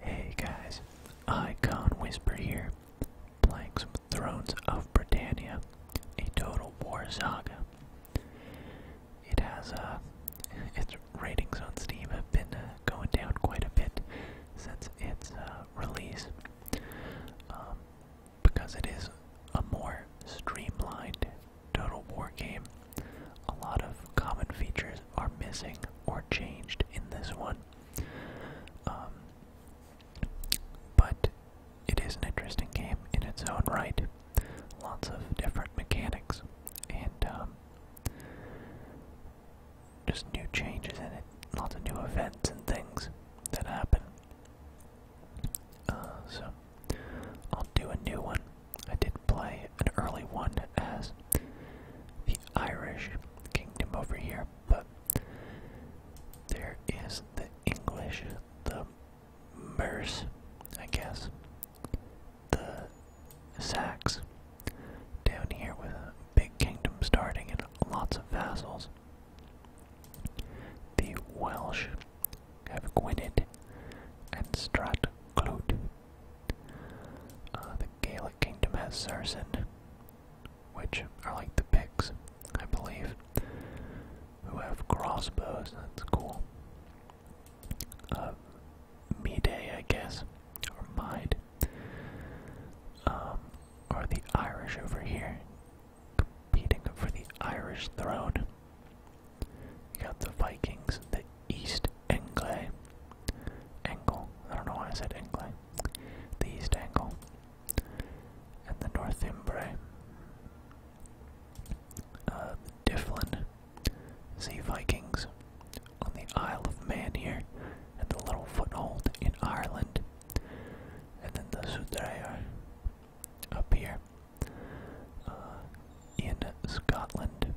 Hey guys, Icon Whisper here, playing some Thrones of Britannia, a total war saga. It has, a uh, its ratings on Steam have been uh, going down quite a bit since its uh, release, um, because it is a more streamlined total war game. A lot of common features are missing or changed in this one. Um, but it is an interesting game in its own right. Lots of different mechanics and um, just new changes in it. Lots of new events and things that happen. Uh, so I'll do a new one. I did play an early one as the Irish kingdom over here, but there is the English, the Merse, I guess, the Sacs down here with a big kingdom starting and lots of vassals. The Welsh have Gwynedd and Stratclute uh, the Gaelic kingdom has Saracen, which are like the Picts, I believe, who have crossbows. That's cool. Uh, Mide, I guess, or Mide, um, are the Irish over here, competing for the Irish throne. You got the Vikings, the East Engle. Angle. I don't know why I said Engle. The East Angle. And the Northumbrae. Uh, the Difflin. Vikings. On the Isle of Man here. And the little foothold in Ireland. And then the Sudreyer up here. Uh, in Scotland.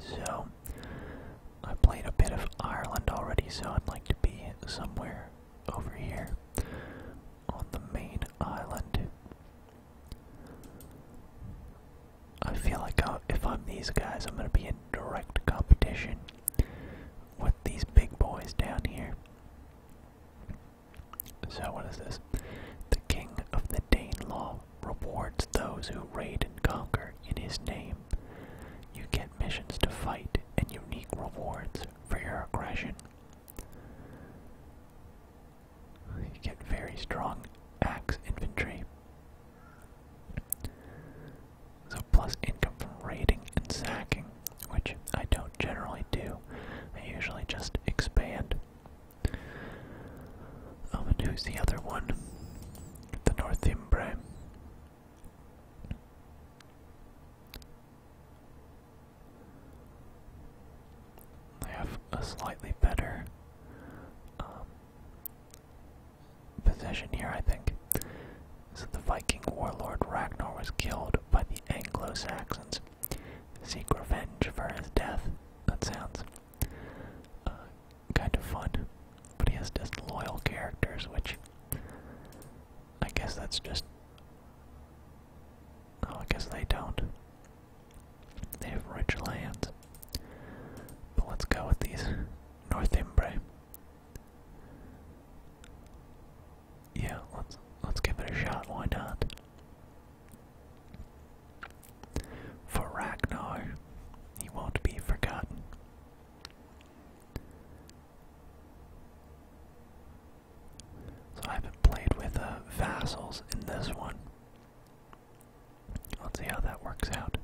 So, I played a bit of Ireland already, so I'd like to be somewhere over here on the main island. I feel like uh, if I'm these guys, I'm going to be in direct competition with these big boys down here. So, what is this? The King of the Dane Law rewards those who raid and conquer in his name. You get missions to fight and unique rewards for your aggression. You get very strong axe infantry. So, plus income from raiding and sacking, which I don't generally do. I usually just expand. Oh, who's the other one? the Northumbria. They have a slightly better um, position here, I think. So the Viking warlord Ragnar was killed by the Anglo-Saxons. Seek revenge for his death. That sounds uh, kind of fun. But he has disloyal characters, which I guess that's just. Oh, I guess they don't. They have rich lands. But let's go with these Northimbre. Yeah, let's let's give it a shot. Why not? For Ragnar, he won't be forgotten. So I haven't played with uh, vassals in this one. Let's see how that works out.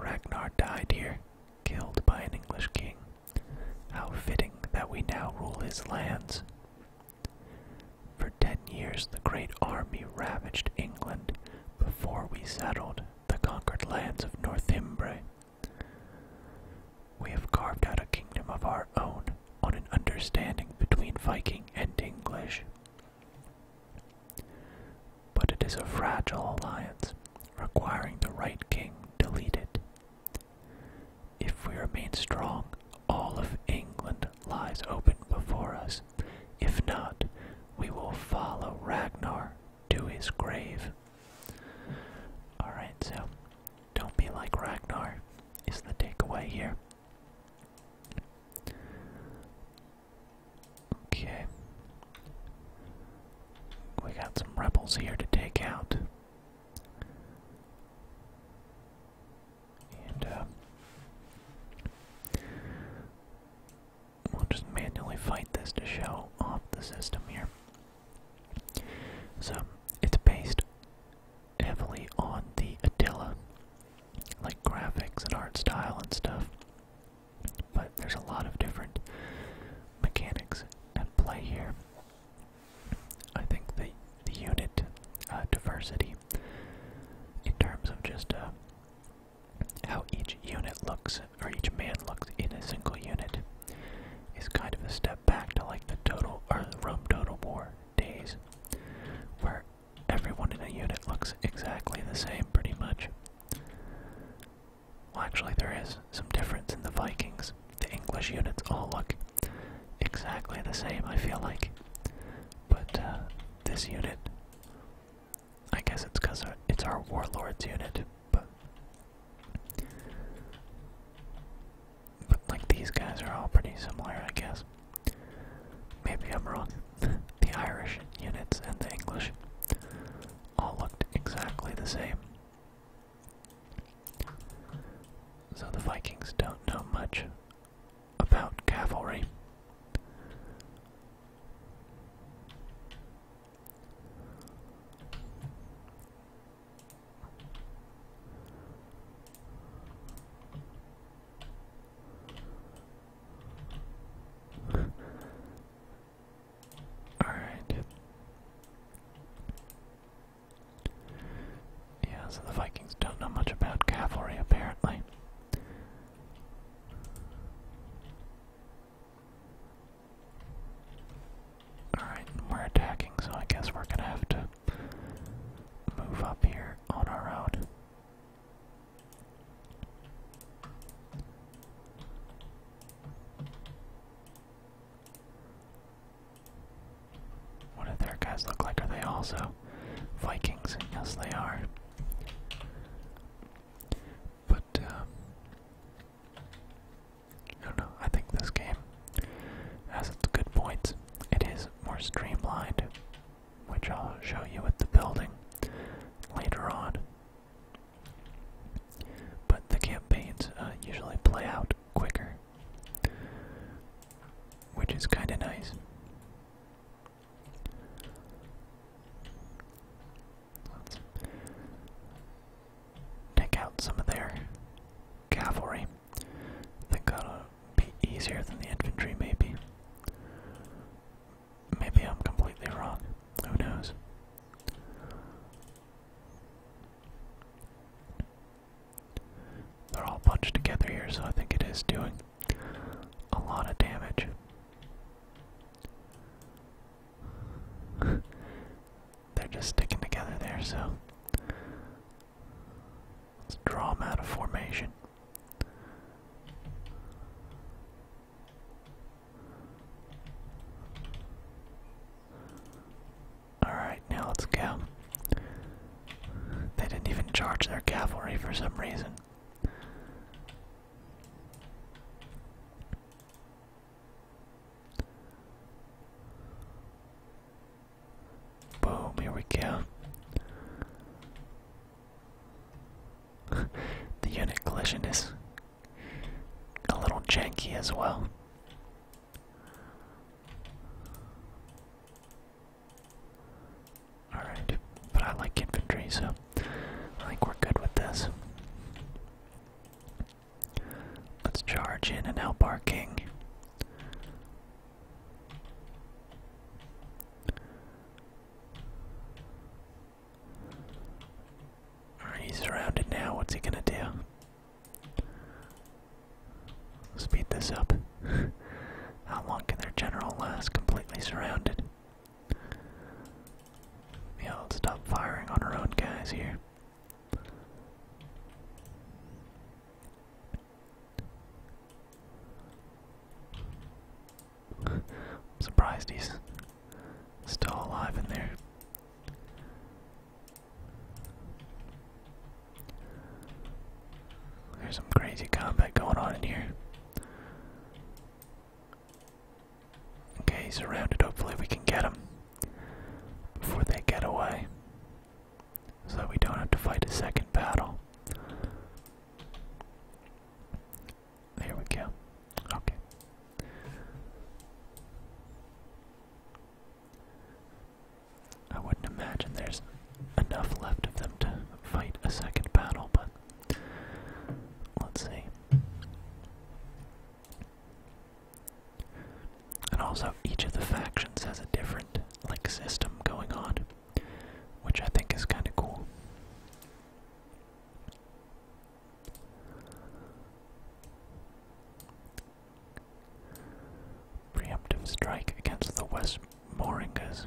Ragnar died here, killed by an English king. How fitting that we now rule his lands. For ten years the great army ravaged England, before we settled the conquered lands of Northumbria. We have carved out a kingdom of our own on an understanding between Viking and English. But it is a fragile alliance, requiring the right king to lead it. If we remain strong, all of England lies open before us. If not, we will follow Ragnar to his grave. Alright, so don't be like Ragnar, is the takeaway here. Okay. We got some rebels here to take out. And, uh we'll just manually fight this to show off the system here. So it's based heavily on the Attila, like graphics and art style and stuff. But there's a lot of different mechanics at play here. I think the the unit uh, diversity in terms of just uh, how each unit looks, or each man looks in a single unit, is kind of a step back to like the total or the Rome Total War days, where everyone in a unit looks exactly the same, pretty much. Well, actually, there is some difference in the Vikings. The English units all look exactly the same, I feel like. But uh, this unit I guess it's because it's our warlords unit, but but like these guys are all pretty similar, I guess. Maybe I'm wrong. the Irish units and the English all looked exactly the same. So the Vikings don't know much about cavalry. All right. Yeah, so the Vikings don't know much about cavalry apparently. Alright, we're attacking, so I guess we're gonna have to move up here on our own. What do their guys look like? Are they also Vikings? Yes, they are. But I don't know. I think this game has its good points. It is more streamlined, which I'll show you with the building later on. But the campaigns uh, usually play out quicker, which is kind of nice. Let's take out some of their cavalry. I think that'll be easier than the infantry, maybe. Maybe I'm completely wrong. Who knows? They're all bunched together here, so I think it is doing a lot of damage. They're just sticking together there, so let's draw them out of formation. Alright, now let's go. They didn't even charge their cavalry for some reason. Boom, here we go. the unit collision is a little janky as well. Alright, but I like infantry, so I think we're good with this. Let's charge in and help our king. Alright, he's surrounded now. What's he gonna do? Speed this up. How long can their general last completely surrounded? Yeah, let stop firing on our own guys here. I'm surprised he's still alive in there. There's some crazy combat going on in here. Okay, he's surrounded. Hopefully, we can get him before they get away so we don't have to fight a second battle. There we go. Okay. I wouldn't imagine there's enough left of them to fight a second battle, but Let's see. And also, each of the factions has a different, like, system going on, which I think is kind of cool. Preemptive strike against the West Moringas.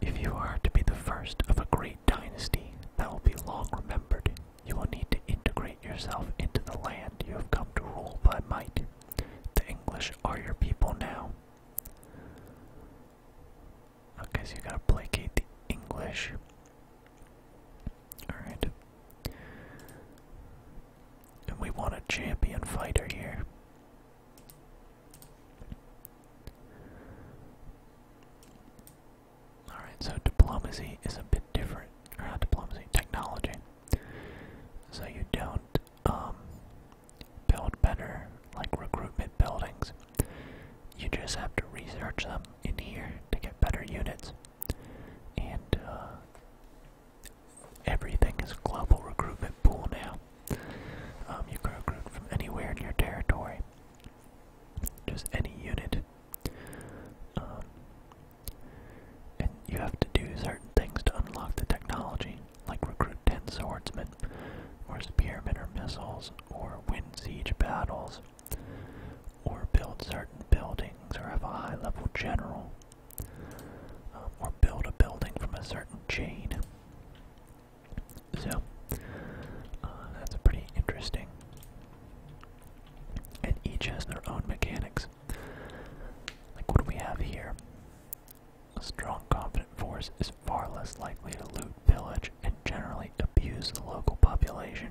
If you are to be the first of a great dynasty that will be long remembered, you will need to integrate yourself into the land you have come to rule by might. The English are your people now. Okay, so you gotta placate the English. Alright. And we want a champion fighter here. Alright, so diplomacy is a bit different. Or not diplomacy, technology. So you don't um, build better, like recruitment buildings. You just have to research them in here to get better units. And uh, everything is global recruitment pool now. Um, you can recruit from anywhere in your territory, just any unit. Um, and you have to do certain things to unlock the technology, like recruit 10 swordsmen, or spearmen or missiles, or win siege battles, or build certain buildings, or have a high level general, um, or build a building from a certain chain. So, uh, that's pretty interesting. And each has their own mechanics. Like, what do we have here? A strong, confident force is far less likely to loot, village and generally abuse the local population.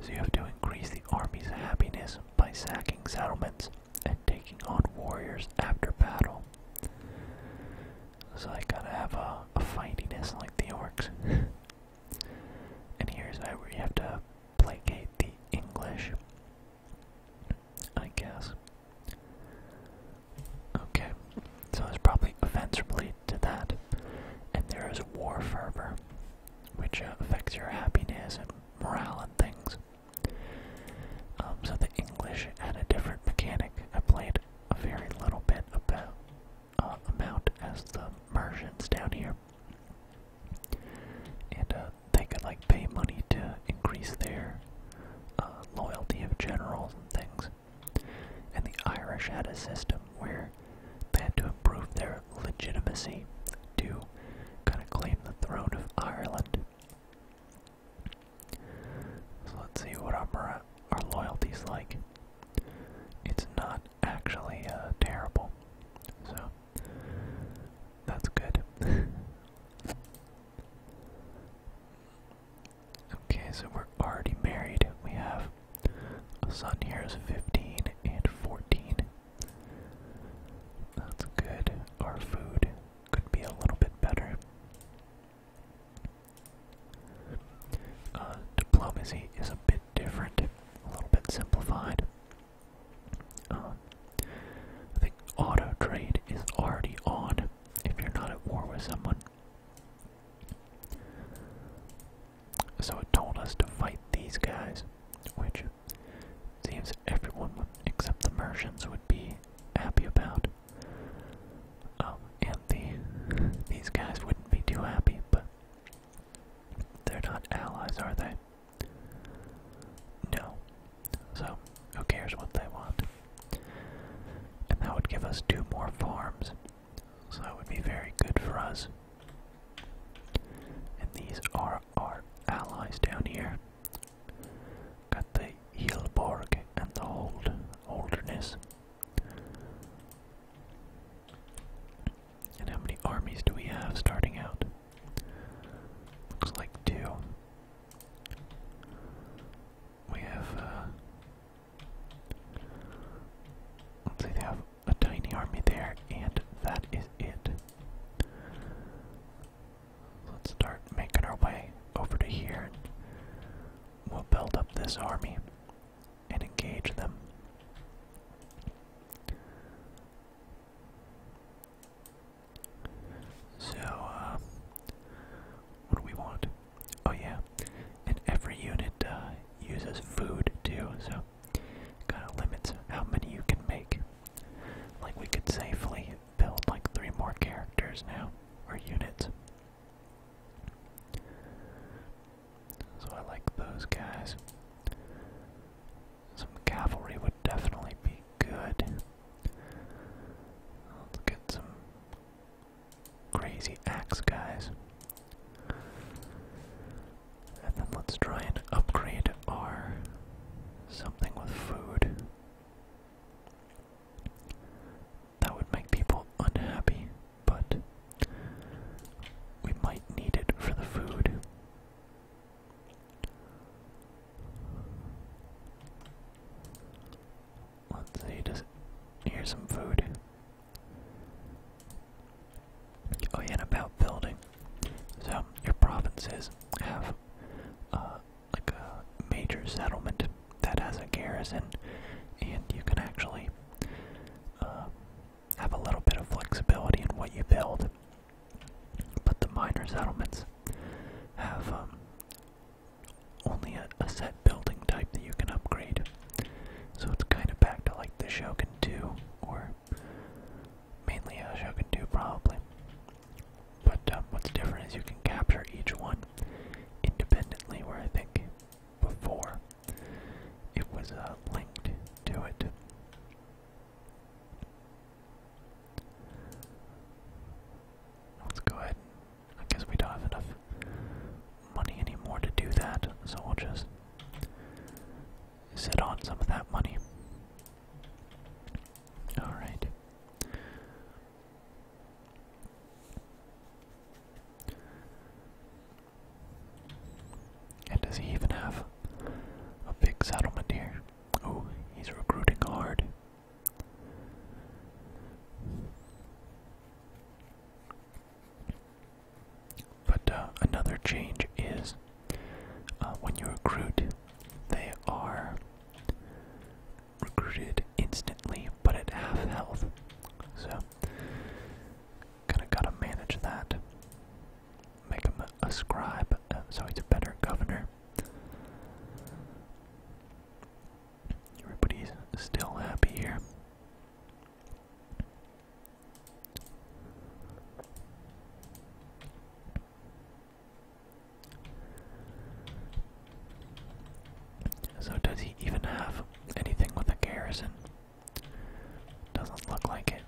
So, you have to increase the army's happiness by sacking settlements and taking on warriors after battle. So I gotta have a, a fightiness like the orcs. and here's where you have to placate the English, I guess. Okay, so there's probably events related to that. And there is war fervor, which uh, affects your happiness and morale and things. Um, so the English had a different mechanic. I played a very little bit about uh, amount as the Mersians down here, and uh, they could like pay money to increase their uh, loyalty of generals and things. And the Irish had a system where they had to improve their legitimacy to kind of claim the throne of Ireland. So let's see what our, our loyalty's like. It's not actually uh, terrible, so that's good. okay, so we're already married. We have a son here is 15 and 14. That's good. Our food could be a little bit better. Uh, diplomacy is a bit different, a little bit simplified. Uh, the auto trade is already on if you're not at war with someone. So it told us to fight these guys, which seems everyone except the Mercians would be happy about. Um, and the, these guys wouldn't be too happy, but they're not allies, are they? No. So, who cares what they want? And that would give us two more farms, so that would be very good for us. And these are our allies down here got the Hilborg and the old Holderness. And how many armies do we have starting out? Looks like two. We have, uh, let's see, they have a tiny army there, and that is it. Let's start making our way over to here. And we'll build up this army and engage them. So, uh, what do we want? Oh, yeah, and every unit uh, uses food too, so kind of limits how many you can make. Like, we could safely build like three more characters now, or units. So I like those guys. Some cavalry would definitely be good. get some crazy axe guys. And then let's try and upgrade our something with food that would make people unhappy, but we might need it for the food. Let's see, just here's some food. Oh yeah, about building. So your provinces have uh, like a major settlement that has a garrison, and you can actually uh, have a little bit of flexibility in what you build. But the minor settlements have um, only a, set building type that you can upgrade. So it's kind of back to like the Shogun 2, or mainly a Shogun 2 probably, but um, what's different is you can capture each one independently, where I think before it was uh, linked to it. Let's go ahead. I we don't have enough money anymore to do that, so we'll just sit on some of that money. Alright. And does he even have a big settlement here? Oh, he's recruiting hard. But uh, another change is uh, when you recruit, they are recruited instantly, but at half health. So, kinda gotta manage that. Make him a, scribe, uh, so he's a better governor. Everybody's still happy here. So does he even have anything with a garrison? Doesn't look like it.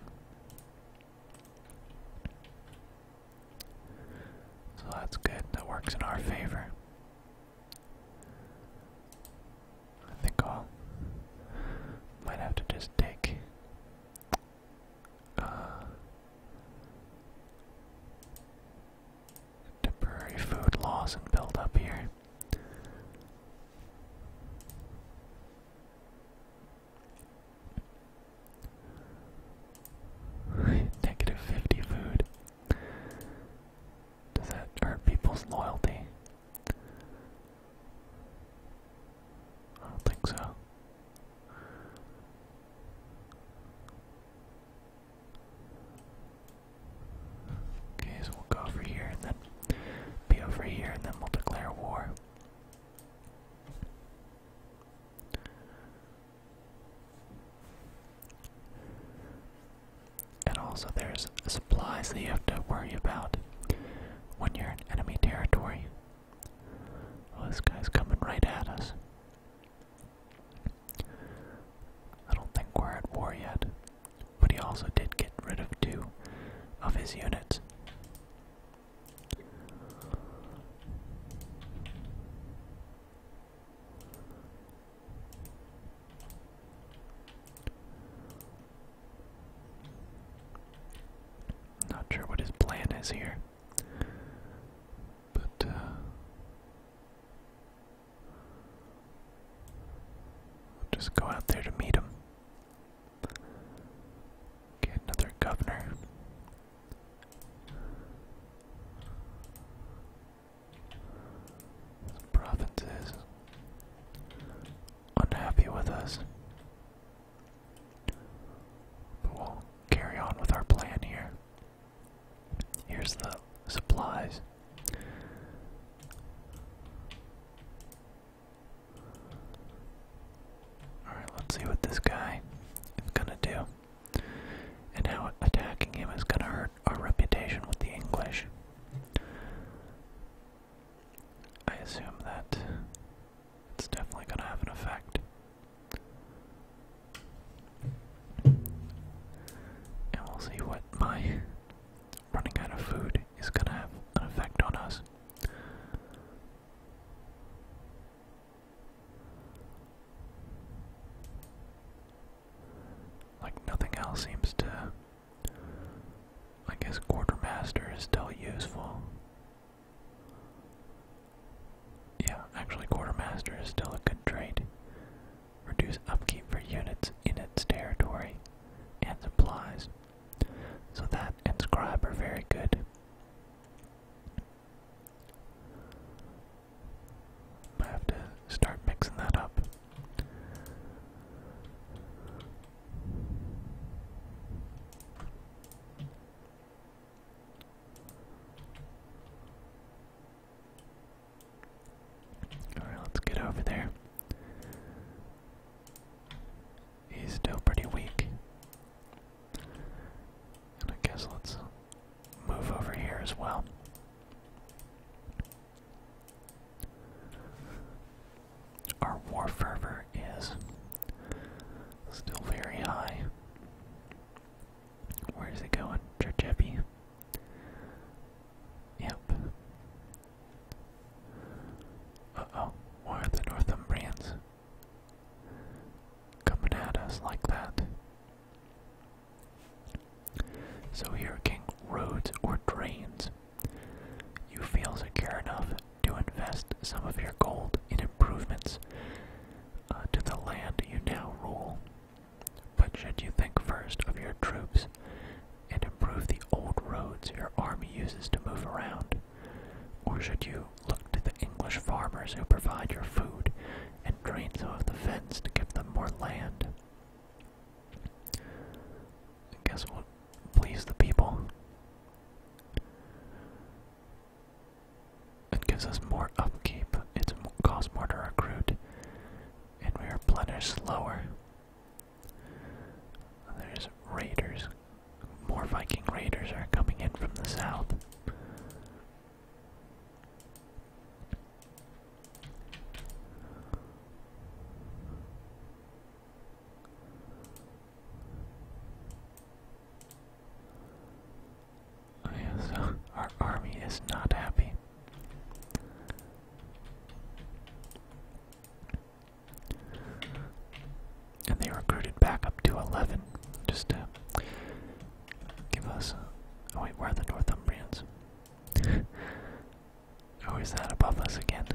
So that's good. That works in our favor. I think i might have to just take uh, temporary food loss and build up here. Negative 50 food. Does that hurt people's loyalty? I don't think so. Okay, so we'll go over here and then be over here and then we'll declare war. And also there's supplies that you have to worry about when you're in enemy territory. Well, this guy's coming right at us. I don't think we're at war yet, but he also did get rid of two of his units. Not sure what his plan is here, but uh, just go out there to meet him. Get another governor. The province unhappy with us. But we'll carry on with our plan here. Here's the supplies. Alright, let's see what this guy is gonna do. And how attacking him is gonna hurt our reputation with the English. I assume that it's definitely gonna have an effect. And we'll see what my running out of food is going to have an effect on us. Like nothing else seems to. I guess quartermaster is still useful. Yeah, actually quartermaster is still a good trait reduce upkeep for units in its territory, and supplies. So that and scribe are very good. I have to start mixing that up. Alright, let's get over there. He's still pretty weak. And I guess let's move over here as well. Our war fervor is still very high. Where is it going? Churcheppy. Yep. Uh-oh, why are the Northumbrians coming at us like that? So here, King, roads or drains. You feel secure enough to invest some of your gold in improvements uh, to the land you now rule. But should you think first of your troops and improve the old roads your army uses to move around? Or should you look to the English farmers who provide your food and drain some of the fens to give them more land? I guess we'll please the people. It gives us more upkeep, it costs more to recruit, and we are plunderers slower. There's raiders. More Viking raiders are coming in from the south. Oh our army is not happy. And they recruited back up to 11 just to give us. oh, wait, where are the Northumbrians? Oh, is that above us again?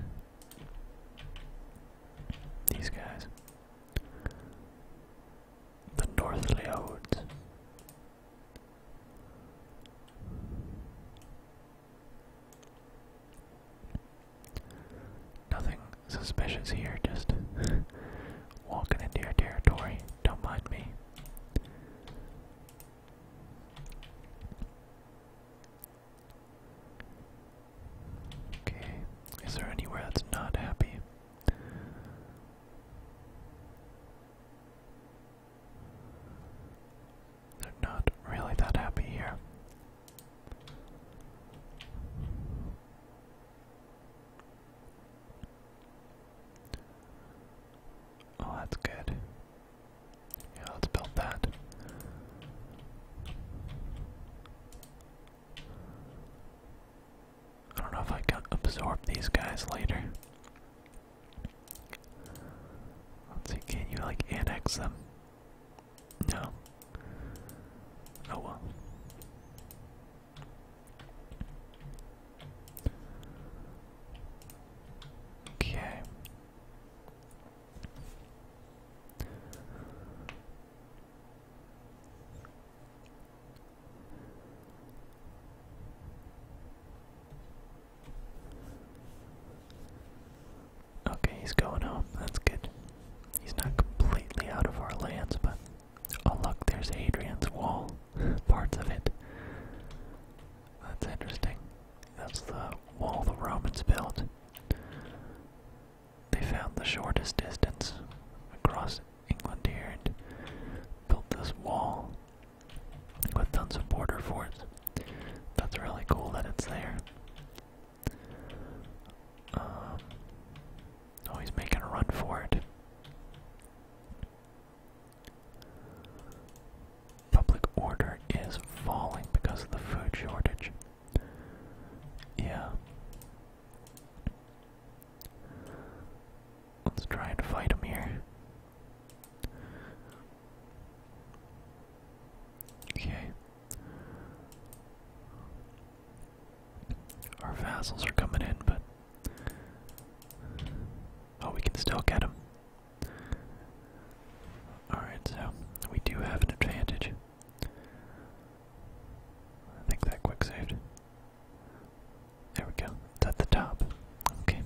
These guys. The North Leodes. Nothing suspicious here, just walking into your territory. Don't mind me. Okay, is there anywhere that's not happy? They're not really that happy here. Oh, that's good. Yeah, let's build that. I don't know if I can absorb these guys later. Let's see, can you like annex them? No. Oh well. Okay. Okay, he's going home. That's good. He's not completely out of our lands, but oh look, there's Hadrian's Wall. Parts of it. That's interesting. That's the wall the Romans built. They found the shortest distance across England here and built this wall with tons of border forts. That's really cool that it's there. Um, oh, he's making a run for it. Public order is falling because of the food shortage. Yeah. Let's try and fight him here. Okay. Our vassals are coming in, but. Oh, we can still get them. Alright, so we do have an advantage. I that quick saved. There we go. It's at the top. Okay.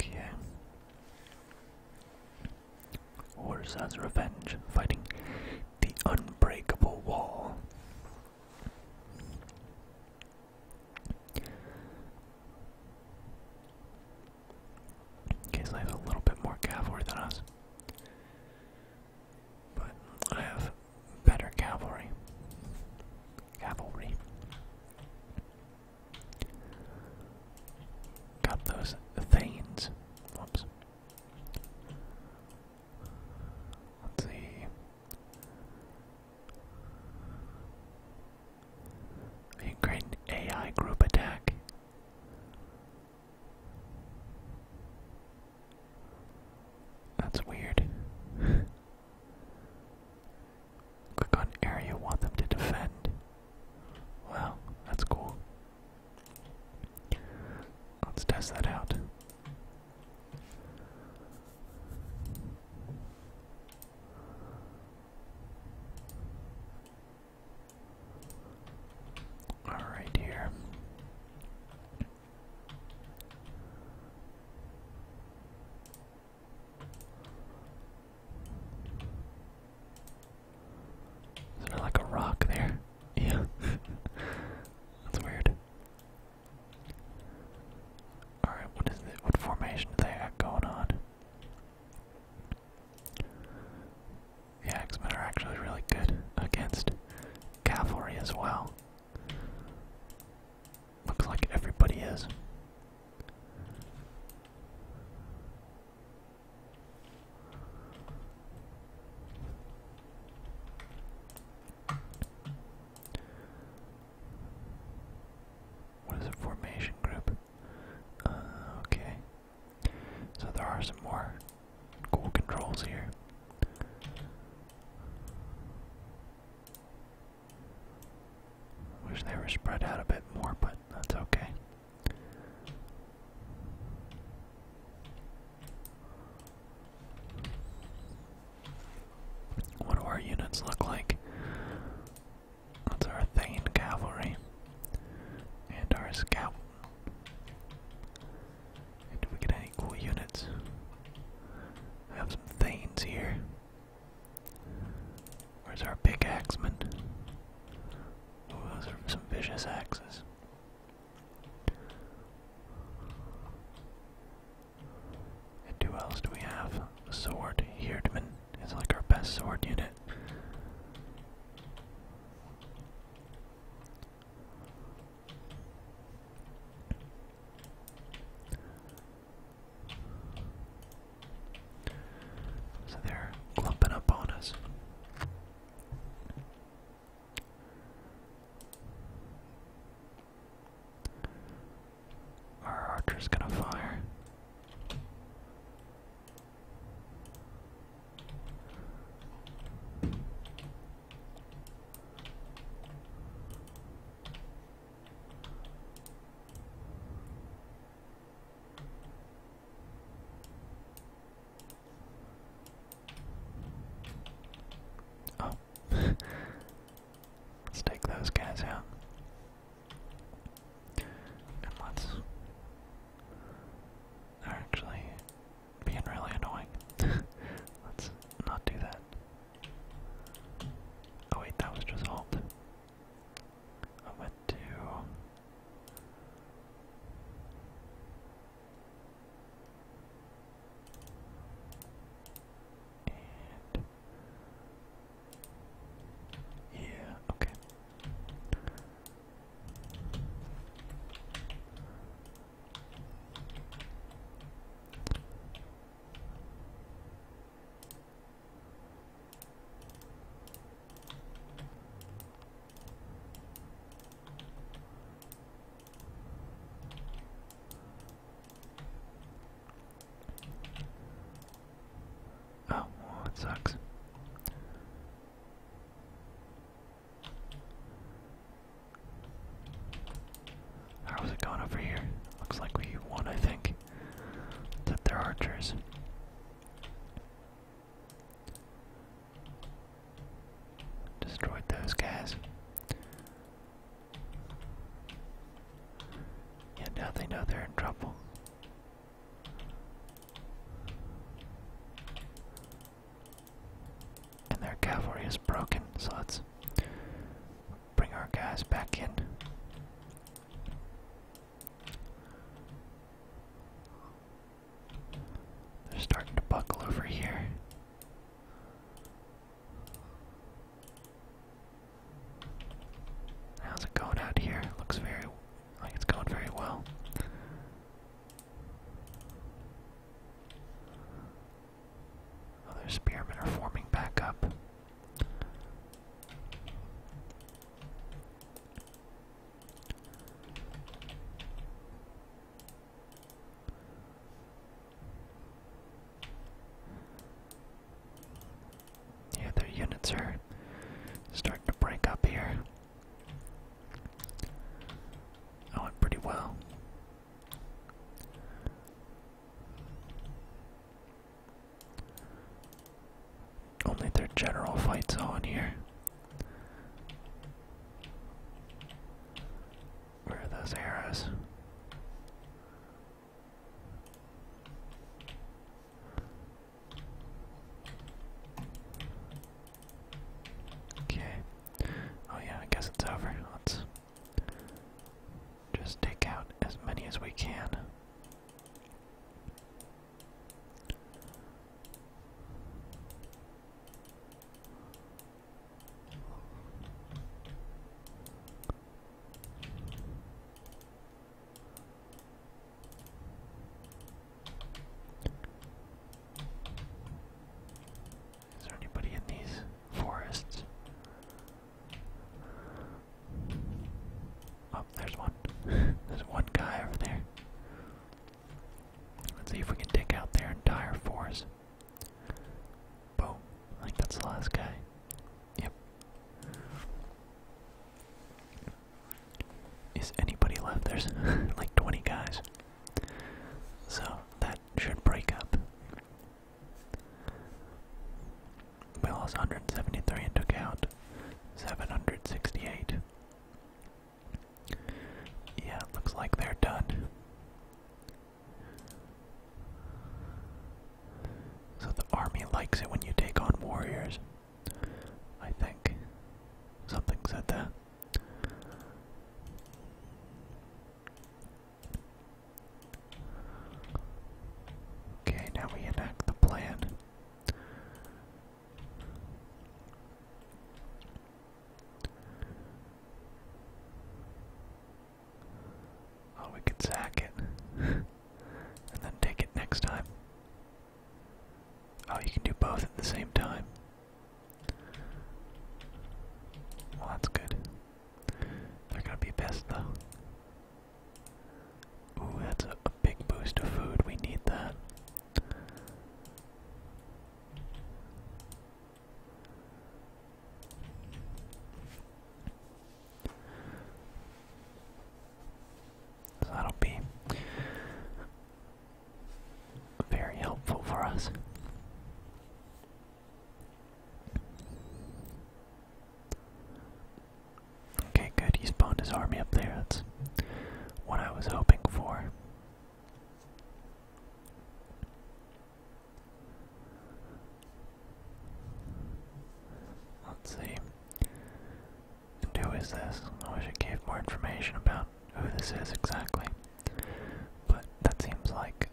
okay. Warsa's Revenge, fighting the Unbreakable Wall. Okay, so they have a little bit more cavalry than us. But I have better cavalry. Cavalry. Got those Thanes. Whoops. Let's see. A great AI group attack that's weird. Click on area, want them to defend. Wow, that's cool. Let's test that out. Alright, here. Is there like a rock there? Yeah. That's weird. Alright, what is it? What formation do they have going on? The X-Men are actually really good against cavalry as well. Looks like everybody is. What is a formation group? Uh, okay. So there are some more cool controls here. Wish they were spread out a bit more, but that's okay. What do our units look like? That's our Thane Cavalry and our Scout. Do we get any cool units? I have some Thanes here. Where's our pickaxeman? Oh, those are some vicious axes. And who else do we have? A sword. Hirdman It's like our best sword unit. So they're clumping up on us. Our archer's gonna fire. Oh, let's take those guys out. And let's they are actually being really annoying. Let's not do that. Oh wait, that was just alt. I went to yeah, okay. Oh, well, sucks. How's it going over here? Looks like we won, I think. That they're archers. Destroyed those guys. Yeah, now they know they're in trouble. And their cavalry is broken, so let's bring our guys back in. They're starting to buckle over here. How's it going out here? Looks very like it's going very well. Other spearmen are forming back up. Yeah, their units are starting to break up here. Oh, I went pretty well. Only their general fights on here. Where are those arrows? Okay. Oh yeah, I guess it's over. Let's just take out as many as we can. Is there anybody in these forests? Oh, there's one. there's one guy over there. Let's see if we can take out their entire force. Boom. I think that's the last guy. Yep is anybody left? There's like 20 guys. So that should break up. We lost 173 and took out 768. Yeah, looks like they're done. So the army likes it when you take on warriors. I think. Something said that. Okay, now we enact the plan. Oh, we could sack it and then take it next time. Oh, you can do both at the same time. Well, that's good. They're gonna be best though. Ooh, that's a, big boost of food. We need that. So that'll be very helpful for us. Okay, good. He spawned his army up there. That's what I was hoping for. Let's see. who is this? I wish it gave more information about who this is exactly, but that seems like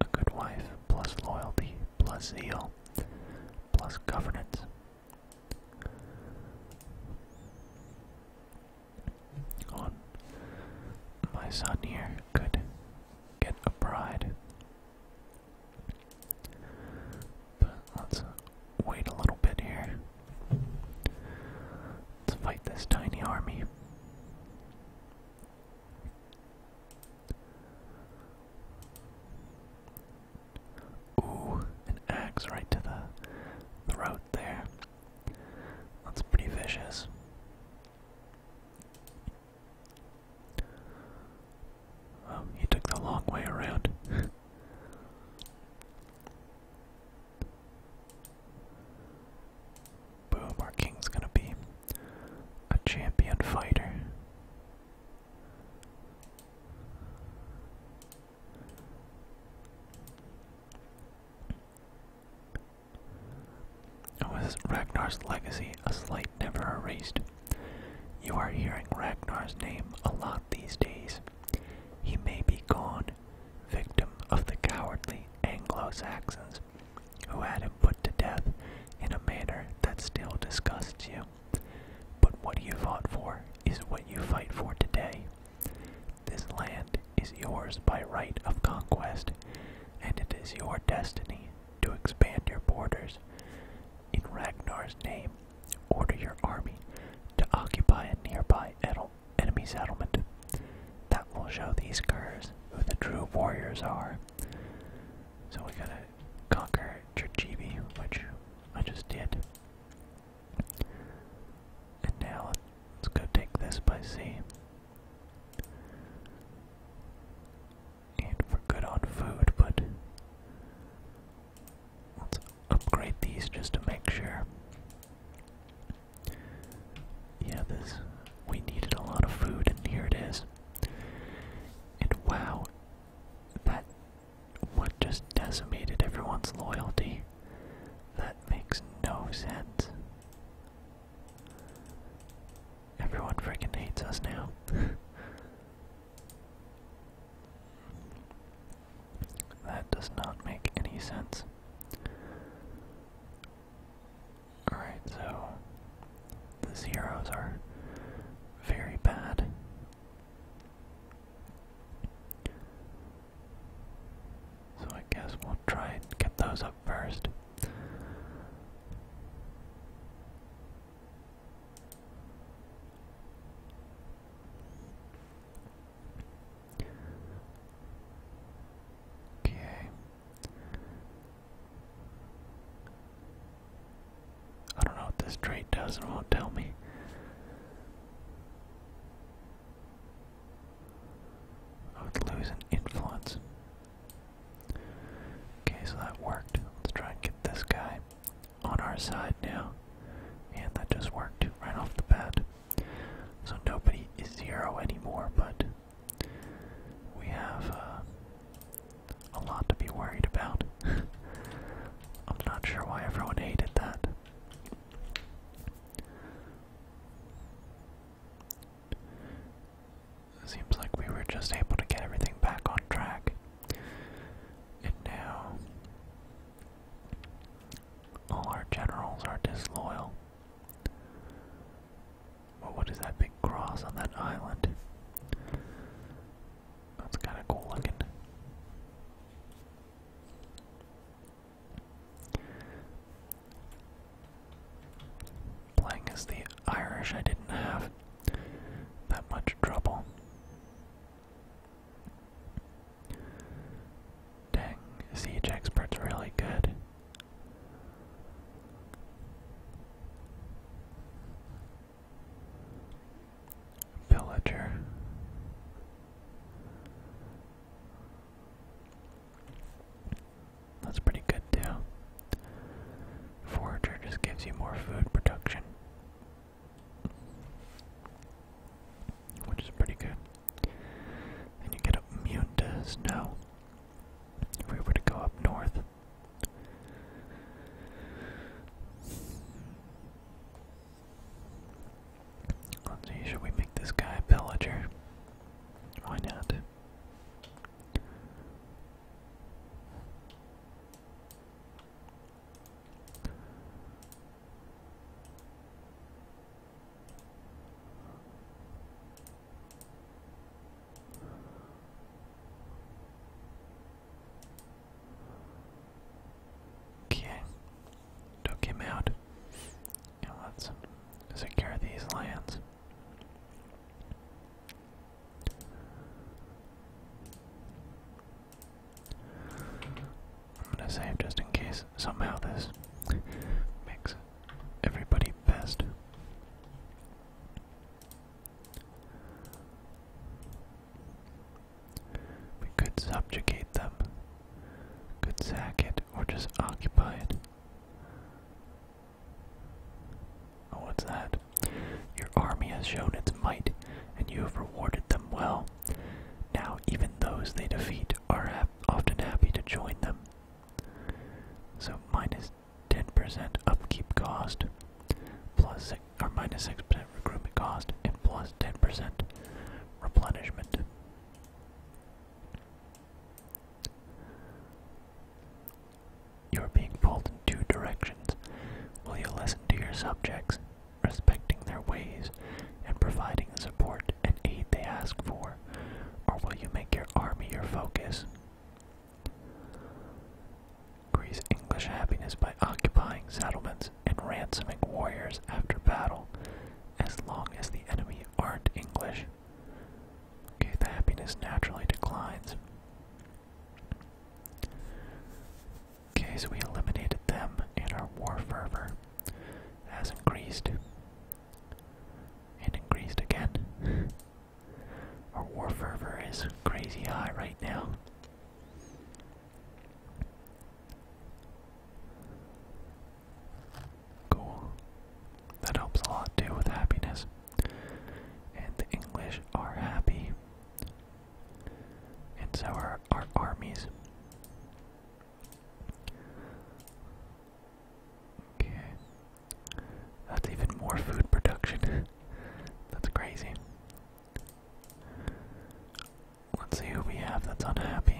a good wife, plus loyalty, plus zeal, plus governance. On my son here could get a bride, but let's wait a little bit here. Let's fight this tiny army. Ooh, an axe right to the throat there. That's pretty vicious. Oh, he took the long way around. Boom, our king's gonna be a champion fighter. Oh, Ragnar's legacy a slight never erased? You are hearing Ragnar's name a lot these days. He may be gone, victim of the cowardly Anglo-Saxons who had him put to death in a manner that still disgusts you. But what you fought for is what you fight for today. This land is yours by right of conquest, and it is your destiny to expand your borders. In Ragnar's name, order your army to occupy a nearby Edel enemy settlement. That will show these curs who the true warriors are. So we gotta conquer Chichibi, which I just did. And now let's go take this by sea. And we good on food, but let's upgrade these just to make sure. Yeah, this we needed a lot of food and here it is. And wow, that what just decimated everyone's loyalty. That makes no sense. Everyone freaking hates us now. That does not make any sense. Alright, so the zeros are very bad. So I guess we'll try and get those up first. Okay. I don't know what this trait does and won't tell me. I would lose influence. Okay, so that worked. Let's try and get this guy on our side now. And that just worked right off the bat. So nobody is zero anymore, but we have uh, a lot to be worried about. I'm not sure why everyone hated that. Seems like we were just able to get everything back on track. And now all our generals are disloyal. Well, what is that big cross on that island? That's kind of cool looking. Playing as the Irish, I didn't have that much trouble. Dang, siege expert's really good. Villager. That's pretty good too. Forager just gives you more food production, which is pretty good and you get immune to snow. If we were to go up north, let's see. Should we make this guy pillager? Why not? Okay, took him out, let's secure these lands. I'm gonna save just in case somehow this makes everybody best. We could subjugate them, could sack it, or just occupy it. Oh, what's that? Your army has shown its might, and you have rewarded them well. Now, even those they defeat are often happy to join them so minus 10% upkeep cost, plus or 6% recruitment cost, and plus 10% replenishment. You're being pulled in two directions. Will you listen to your subjects, respecting their ways, and providing the support need and aid they ask for, or will you make your army your focus? Increase English happiness by occupying settlements and ransoming warriors after battle, as long as the enemy aren't English. Okay, the happiness naturally declines. Okay, so we eliminated them, and our war fervor has increased and increased again. Our war fervor is crazy high right now. Cool. That helps a lot too with happiness. And the English are happy. And so are our armies. Okay. That's even more food production. that's crazy. Let's see who we have that's unhappy.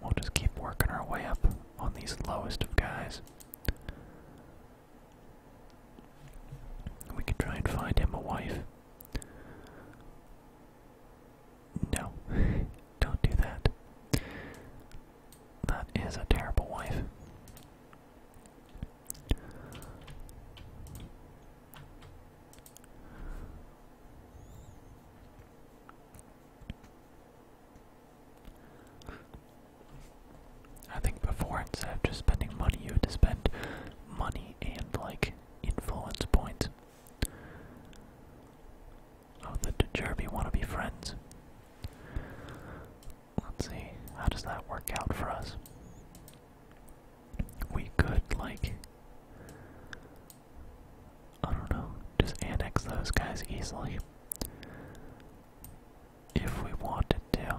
We'll just keep working our way up on these lowest of guys. We could try and find him a wife. No, don't do that. That is a terrible wife. I think before instead of spending money, you had to spend money and like influence points. Oh, the Dejerby want to be friends. Let's see, how does that work out for us? We could, like, I don't know, just annex those guys easily. If we wanted to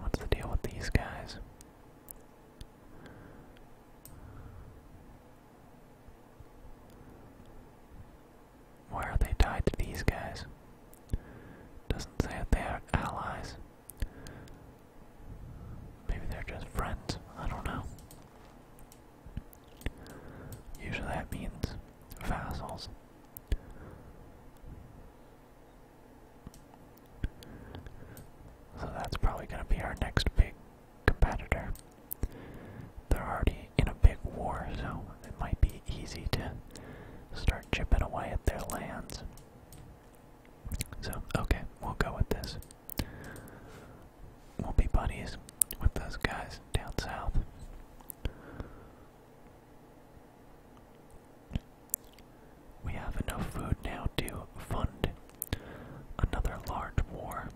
what's the deal with these guys? Why are they tied to these guys? Doesn't say they are allies. Maybe they're just friends. I don't know. Usually that means vassals. So that's probably going to be our next big competitor. They're already in a big war, so it might be easy to start chipping away at their lands. So, okay, we'll go with this. We'll be buddies with those guys down south. We have enough food now to fund another large war.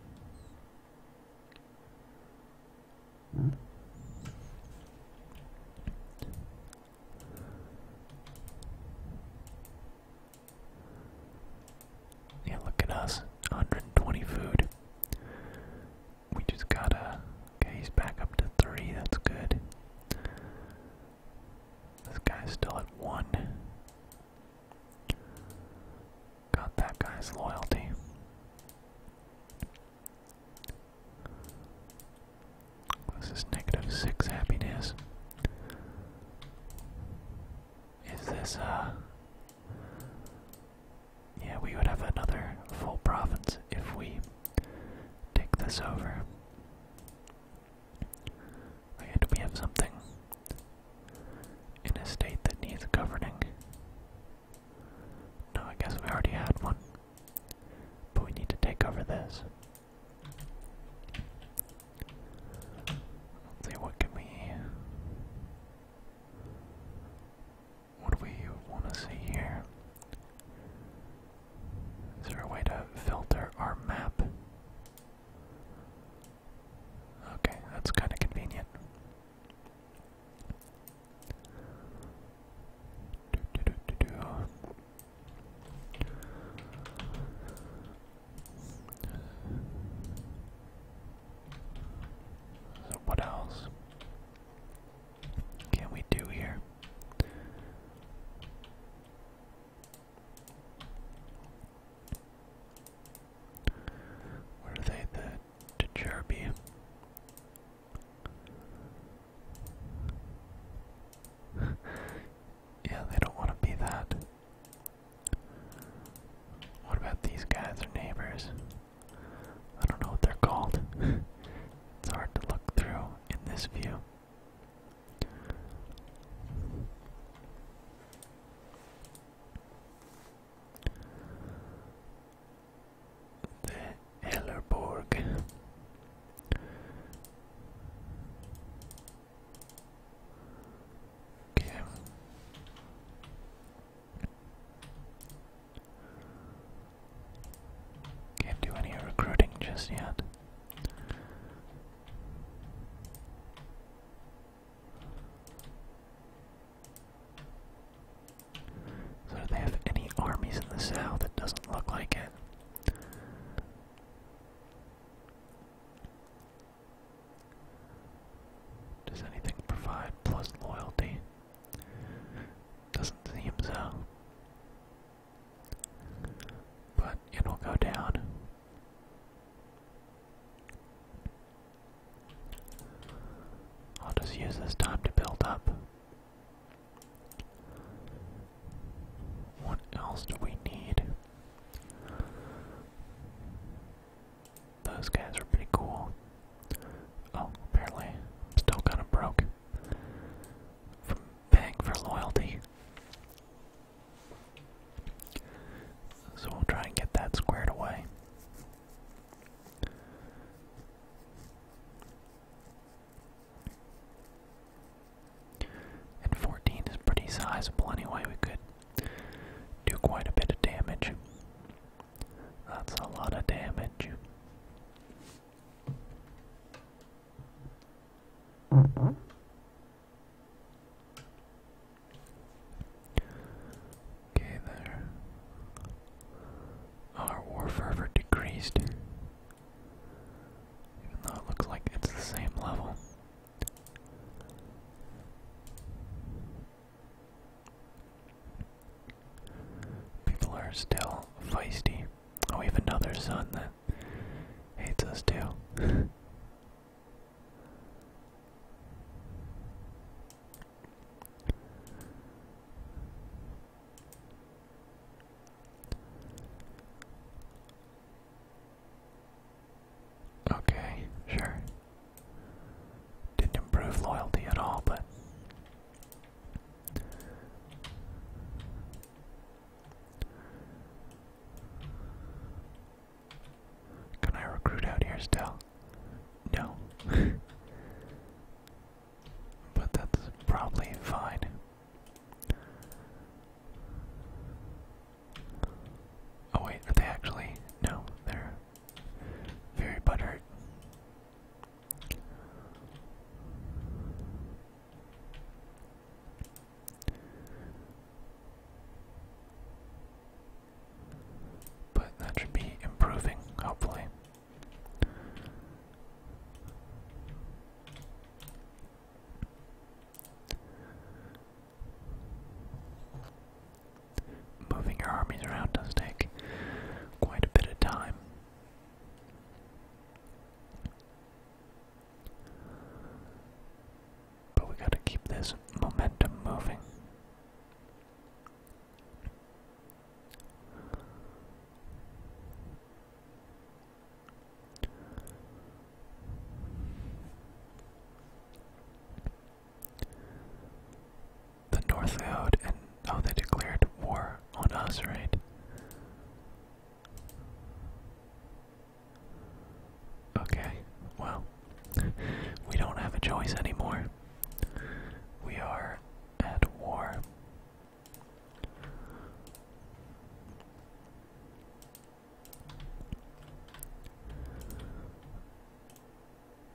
Yeah, look at us. 120 food. We just gotta. Okay, he's back up to three. That's good. This guy's still at one. Got that guy's loyalty. This is negative six happiness. Is this, uh. Yeah, we would have another full province if we take this over. And we have something in a state that needs governing. No, I guess we already had one. But we need to take over this. Let's see, what can we... What do we want to see here? Is there a way to filter our map? Okay, that's kind of convenient. what else can we do here? What are they? The Dejerby? yeah, they don't want to be that. What about these guys, Are neighbors? I don't know what they're called. it's hard to look through in this view. The Ellerborg. Can't do any recruiting just yet. So do they have any armies in the south? It doesn't look like it. Does anything provide plus loyalty? Doesn't seem so. But it'll go down. I'll just use this time to build up. What else do we need? Those guys are pretty cool. Oh, apparently, still kind of broke from paying for loyalty. So we'll try and get that squared away. And 14 is pretty sizable anyway, we could do quite a bit of damage. That's a lot of damage. Mm-hmm. Okay, there. Our war fervor decreased. Even though it looks like it's the same level. People are still feisty. Oh, we have another sun then hates us too. Okay, sure. Didn't improve loyalty at all, but can I recruit out here still? No. but that's probably fine. Oh wait, are they actually? No, they're very buttered. But that should be improving, hopefully. Moving your armies around does take quite a bit of time. But we gotta keep this momentum moving. The North and oh, they declared war on us, Okay, well, we don't have a choice anymore. We are at war.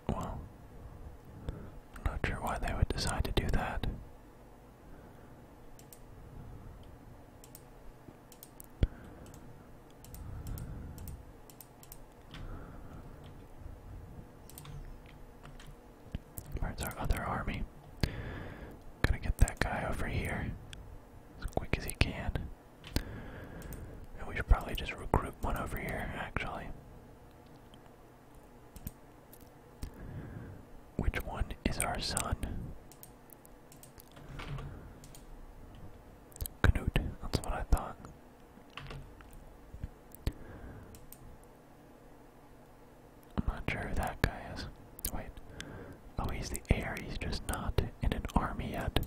Well, not sure why they would decide to do that. Where's our other army? Gotta get that guy over here as quick as he can. And we should probably just recruit one over here, actually. Which one is our son? Canute, that's what I thought. I'm not sure who that guy is. Wait. Oh, he's the heir, he's just not in an army yet.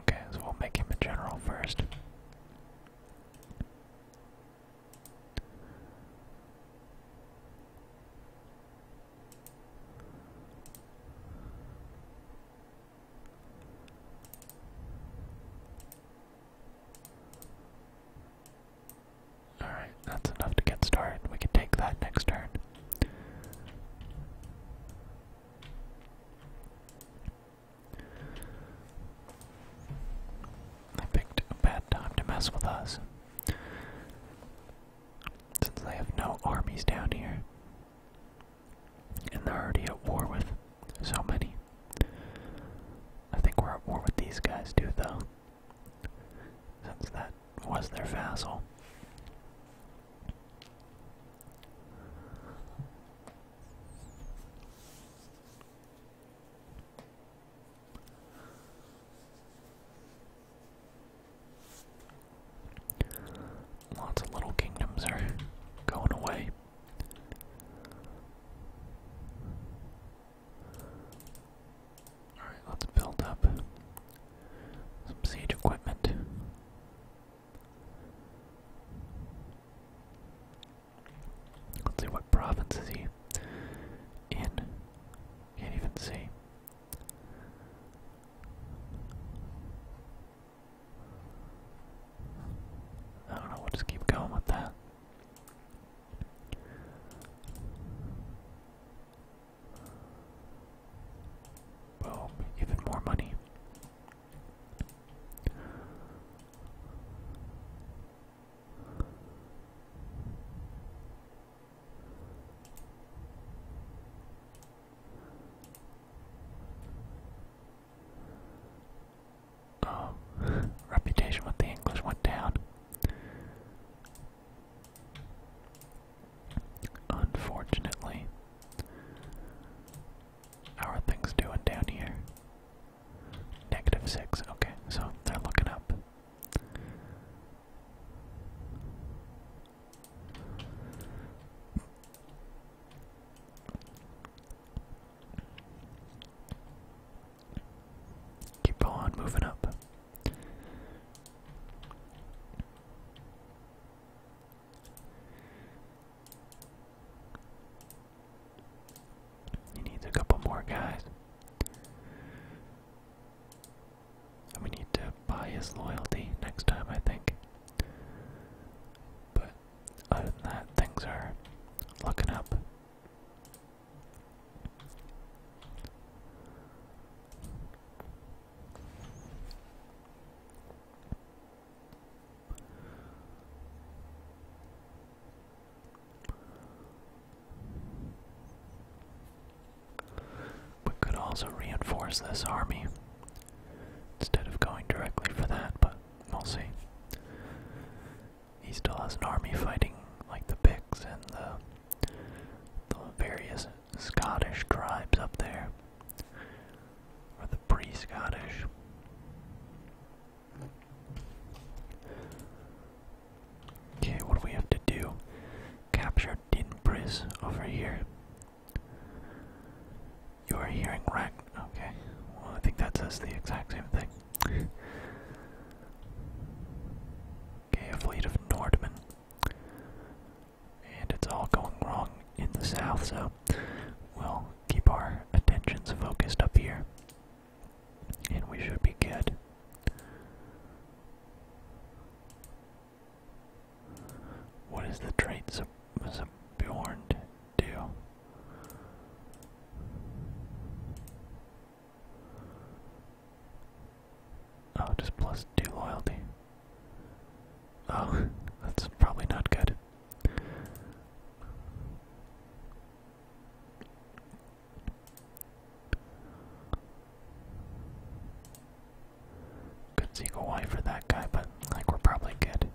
Okay, so we'll make him a general first. Alright, that's enough to get started. We can take that next turn. They picked a bad time to mess with us. Since they have no armies down here. And they're already at war with so many. I think we're at war with these guys too, though. Since that was their vassal. Lots of little kingdoms are going away. Alright, let's build up some siege equipment. Let's see what province is he in. Can't even see. I don't know, we'll just keep going with that. Boom, even more money. Oh, reputation with the English went down. Unfortunately, how are things doing down here? Negative six. Okay, so they're looking up. Keep on moving up. He needs a couple more guys. And we need to buy his loyalty next time, I think. But other than that, things are looking up. We could also reinforce this army instead of going directly for that, but we'll see. He still has an army fighting like the Picts and the, the various Scottish tribes up there, or the pre-Scottish. Okay, what do we have to do? Capture Din Priz over here. You are hearing right. Okay, well, I think that says the exact same thing. okay, a fleet of Nordmen. And it's all going wrong in the south, so we'll keep our attentions focused up here and we should be good. What is the trait sub Bjorn do? Oh, just plus two loyalty. Oh, that's probably not good. Couldn't see Y for that guy, but like we're probably good.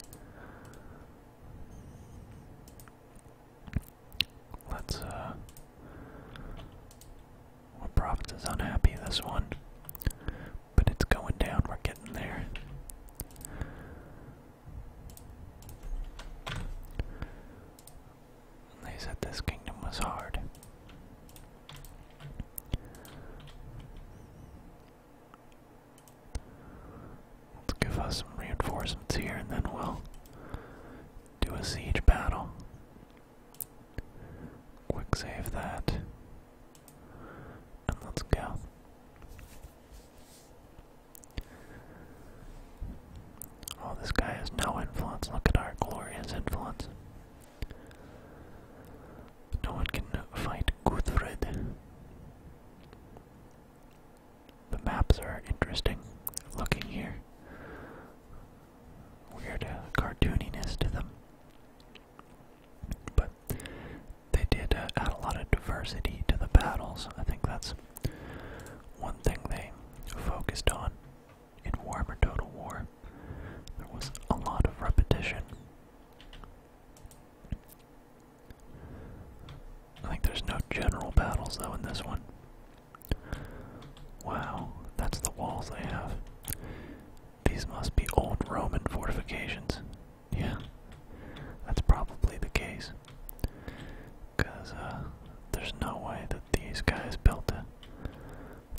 Let's uh well Providence is unhappy this one. But it's going down, we're getting there. They said this kingdom was hard. Let's give us some reinforcements here and then we'll do a siege battle. Quick save that. And let's go. Oh, this guy has no influence. Look at our glorious influence. No one can fight Guthred. The maps are interesting looking here. Weird uh, cartooniness to them. But they did uh, add a lot of diversity to the battles. I think that's one thing they focused on in Warhammer Total War, there was a lot of repetition. I think there's no general battles though in this one. Wow, that's the walls they have. These must be old Roman fortifications. Yeah, that's probably the case. Because uh, there's no way that these guys built it.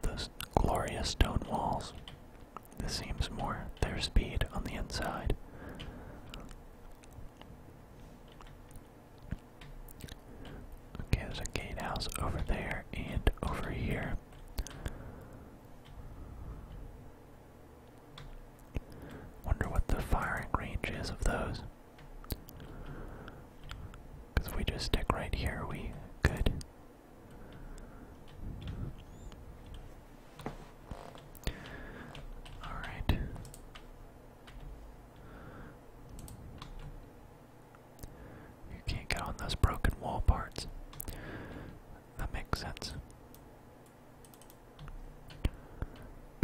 Those glorious stone walls. This seems more their speed on the inside. Okay, there's a gatehouse over there and over here. Wonder what the firing range is of those. Because if we just stick right here, we could. Alright. You can't get on those broken wall parts. That makes sense.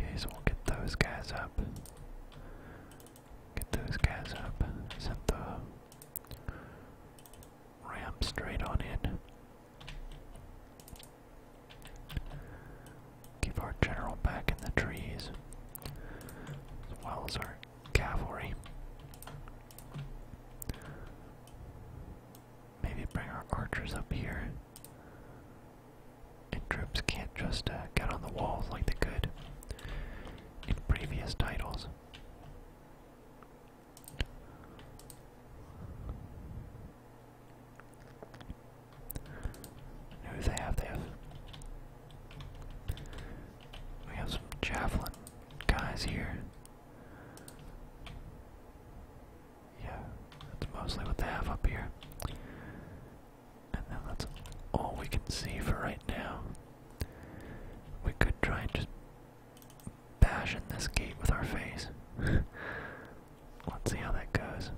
Okay, so we'll get those guys up. Get those guys up. Set the ramp straight on in. Keep our general back in the trees, as our cavalry. Maybe bring our archers up here. And troops can't just uh, get on the walls like they could in previous titles. Who do they have? They We have some javelin guys here. Yeah, that's mostly what they have up here. And that's all we can see for right now. We could try and just bash in this gate with our face. Let's see how that goes.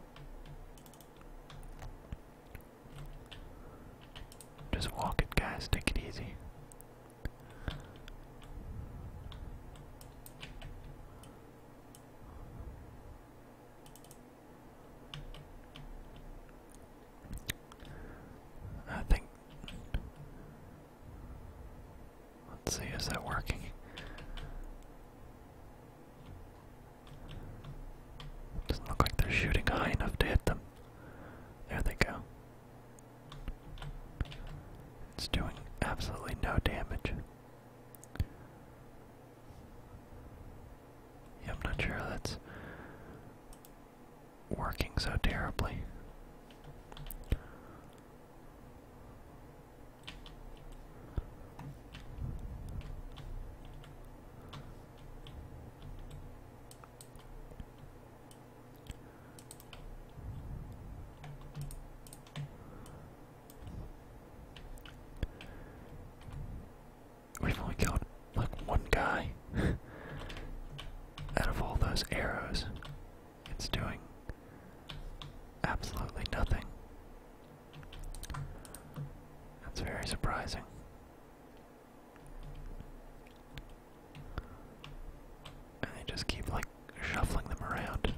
Just walk it, guys. Take it easy. I think. Let's see, is that working? Doesn't look like they're shooting high enough to hit them. There they go. It's doing absolutely no damage. Yeah, I'm not sure that's working so terribly. We've only killed like one guy out of all those arrows. It's doing absolutely nothing. That's very surprising. And they just keep like shuffling them around.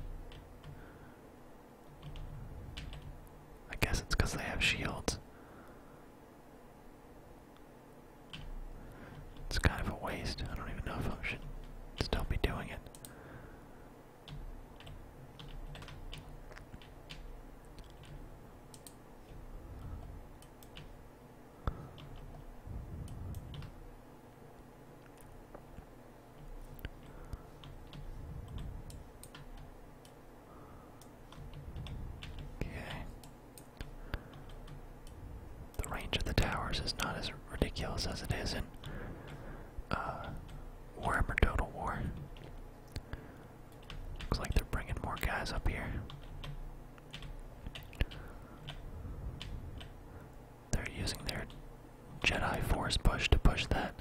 I guess it's because they have shields. It's kind of a waste. I don't even know if I should still be doing it. Okay. The range of the towers is not as ridiculous as it is in uh, Warhammer Total War. Looks like they're bringing more guys up here. They're using their Jedi Force push to push that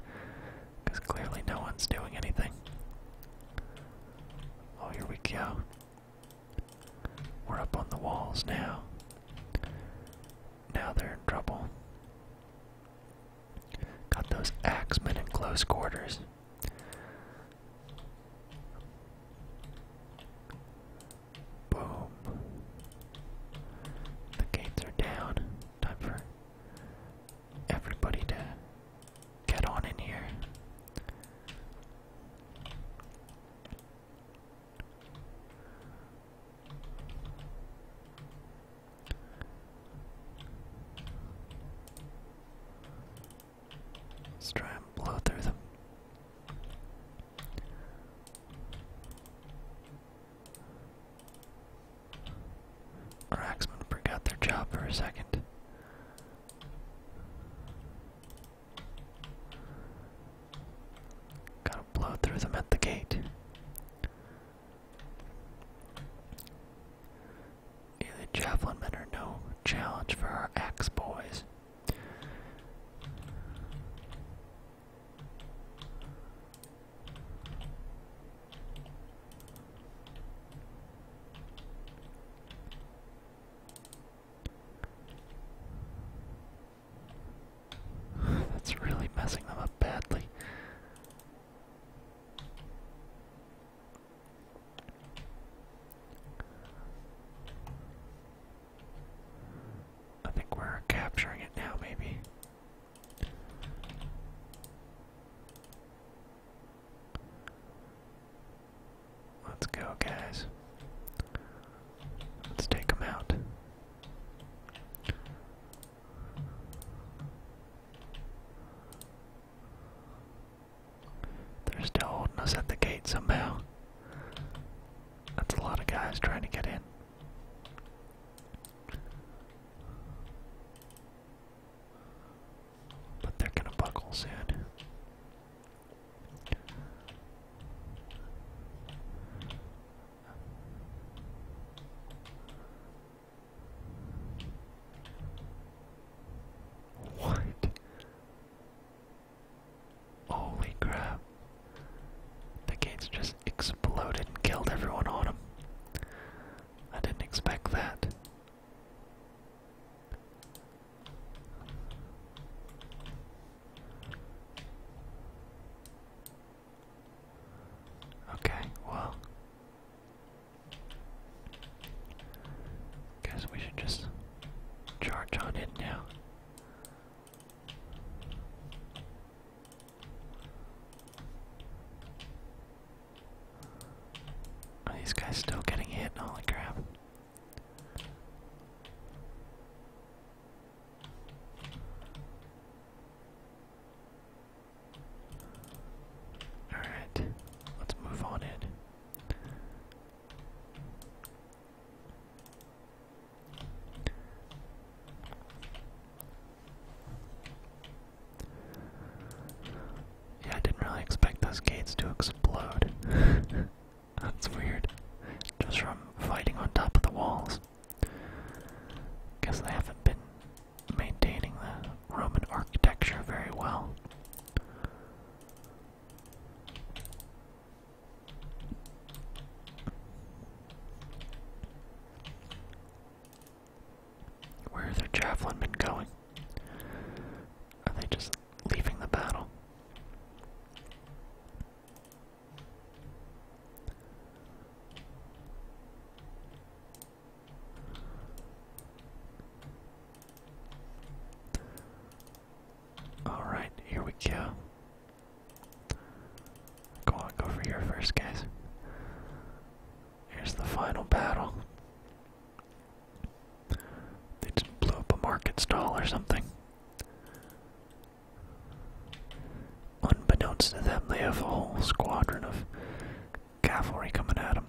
because clearly no one's doing anything. Oh, here we go. We're up on the walls now. Now they're in trouble. Got those axemen in close quarters. Boom. The gates are down. Time for everybody to get on in here. Let's try and blow through them. Our axemen forgot their job for a second. Gotta blow through them at the gate. Yeah, javelin men are no challenge for our axe boys. That's really messing them up badly. I think we're capturing it now, maybe. Let's go, guys. Let's take them out. They're still holding us at the gate somehow. That's a lot of guys trying to get in. But they're gonna buckle soon. What? Holy crap. The gates just exploded and killed everyone on them. I didn't expect that. Okay, well, guess we should just charge on it now. Oh, these guys still getting hit? Holy crap. Alright, let's move on in. Yeah, I didn't really expect those gates to explode. That's weird. Just from fighting on top of the walls. Guess they haven't been maintaining the Roman architecture very well. Where have their javelin been going? Are they just leaving the battle? Alright, here we go. Go on, go over here first, guess. Here's the final battle. They just blew up a market stall or something. Unbeknownst to them, they have a whole squadron of cavalry coming at them.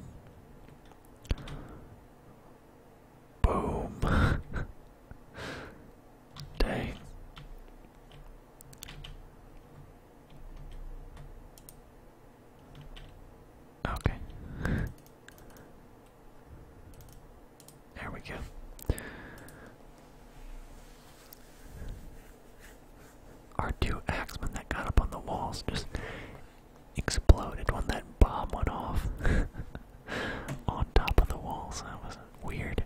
Boom. Dang. Okay. there we go. Our two axemen that got up on the walls just exploded when that bomb went off on top of the walls. That was weird.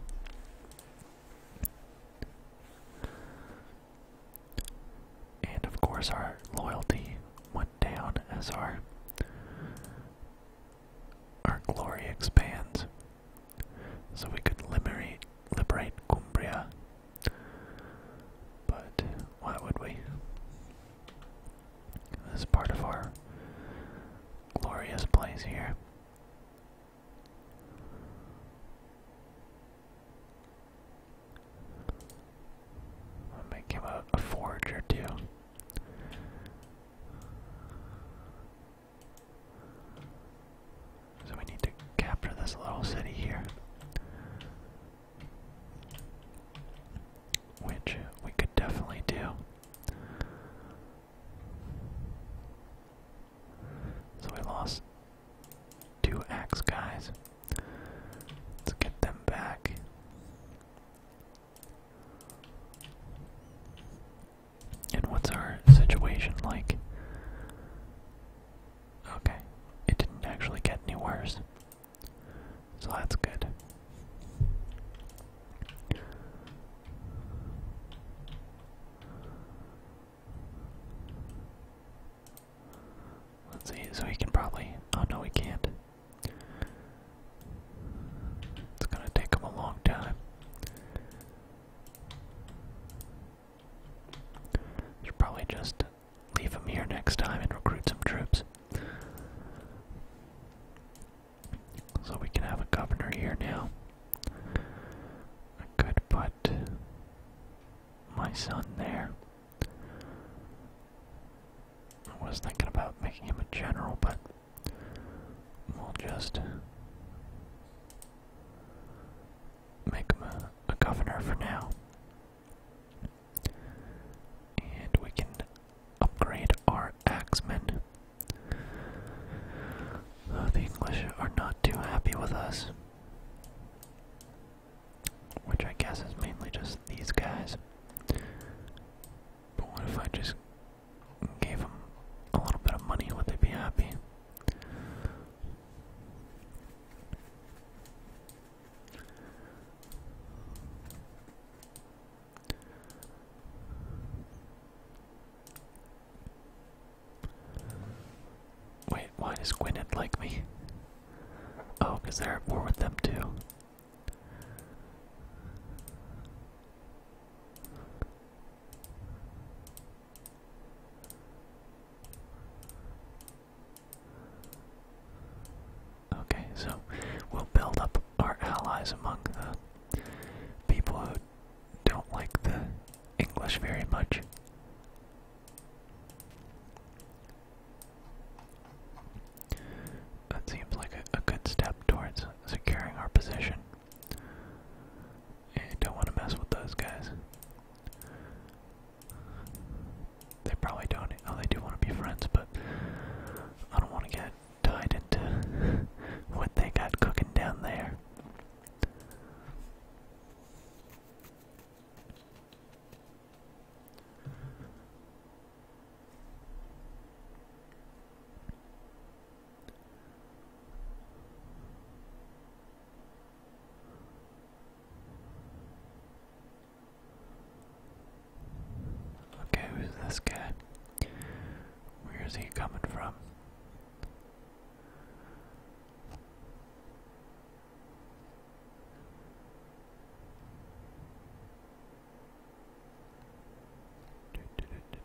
And of course, our loyalty went down as our our glory expands. So we could liberate liberate Cumbria. But why would we? This part of our glorious place here. I'll make him a, a forge or two. So we need to capture this little city here. Which we could definitely do. So we lost Two axe guys. Let's get them back. And what's our situation like? Okay, it didn't actually get any worse. So that's good. Let's see, so he can probably. Oh no, he can't. It's gonna take him a long time. Should probably just leave him here next time and recruit some troops. So we can have a governor here now. I could put my son there. I was thinking about making him a general, but we'll just make him a, governor for now. And we can upgrade our axemen. Uh, the English are not too happy with us. Which I guess is mainly just these guys. But what if I just gave them a little bit of money? Would they be happy? Wait, why does Gwyneth like me? Oh, because they're at with them too. Okay, so we'll build up our allies among the people who don't like the English very much. That seems like a, good step towards securing our position. don't want to mess with those guys. They probably don't. Oh, they do want to be friends, but I don't want to get tied into what they got cooking down there. Okay, who's this guy? Where is he coming from?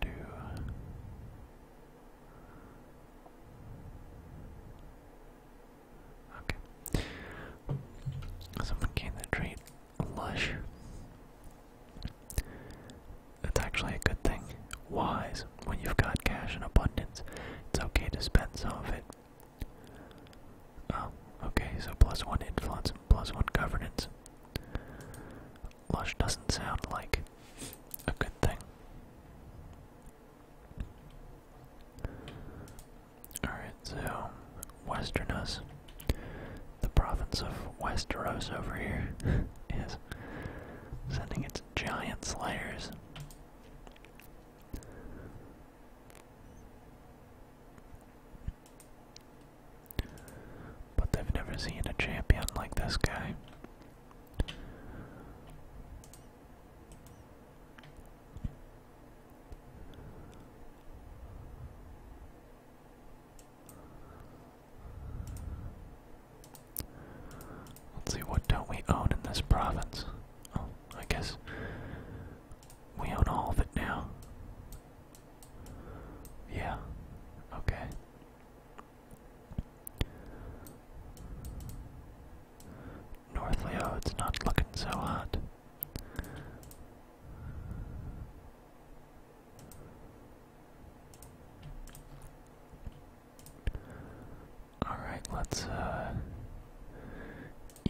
Do, Someone gained the trait lush. That's actually a good thing. Wise. When you've got cash in abundance, it's okay to spend some of it Oh, okay, so plus one influence one governance. Lush doesn't sound like a good thing. Alright, so Westernus. The province of Westeros over here is sending its giant slayers. But they've never seen a champion like this guy. Let's see, what don't we own in this province? Oh, I guess we own all of it now. Yeah. Okay. North Leo, it's not looking so hot. All right, let's uh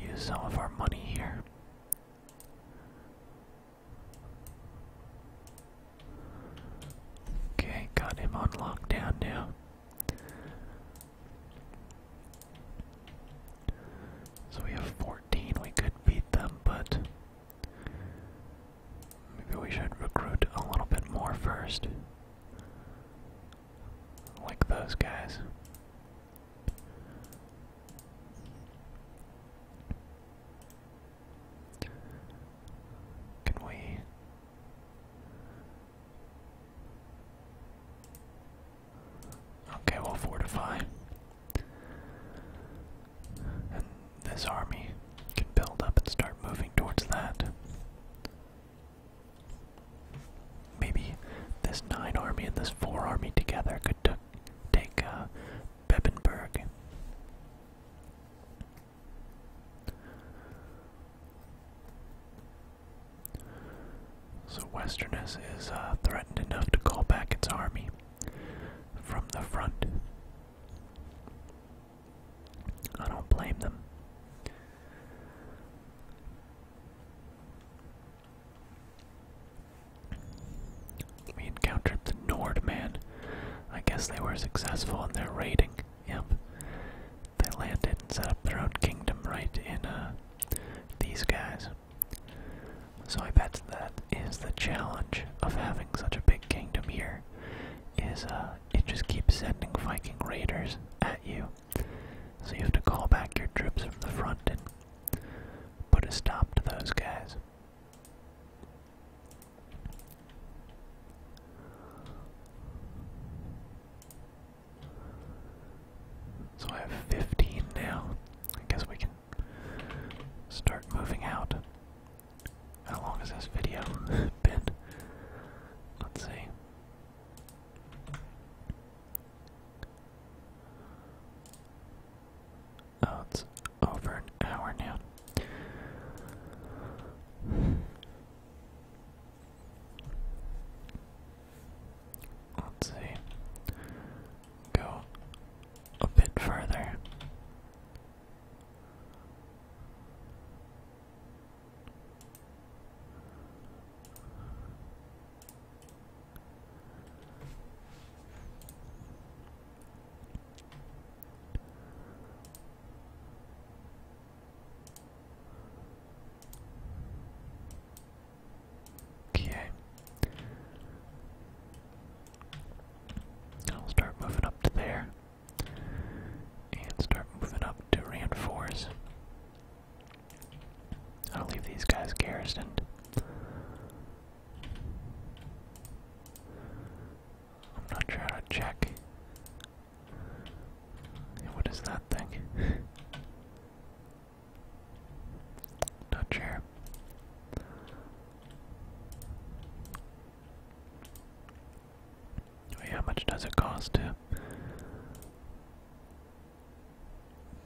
use some of our money here. Okay, got him on lockdown now. So we have 14. We could beat them, but maybe we should recruit a little bit more first. Like those guys. Can we? Okay, we'll fortify. And this army can build up and start moving towards that. Maybe this nine army and this four army together could take uh, So Westerness is uh, threatened enough to call back its army from the front. I don't blame them. We encountered the Nordman. I guess they were successful in their raiding. Yep. They landed and set up their own kingdom right in uh, these guys. So I bet that is the challenge of having such a big kingdom here. Is uh, it just keeps sending Viking raiders at you, so you have to call back your troops from the front and put a stop to those guys. So I have 15 now. I guess we can start moving out. How long has this video been? Let's see. Oh, it's over an hour now. Let's see. Go a bit further. Okay. I'll start moving up to there. And start moving up to reinforce. I'll leave these guys garrisoned. I'm not sure how to check. What is that thing? not sure. Wait, how much does it cost to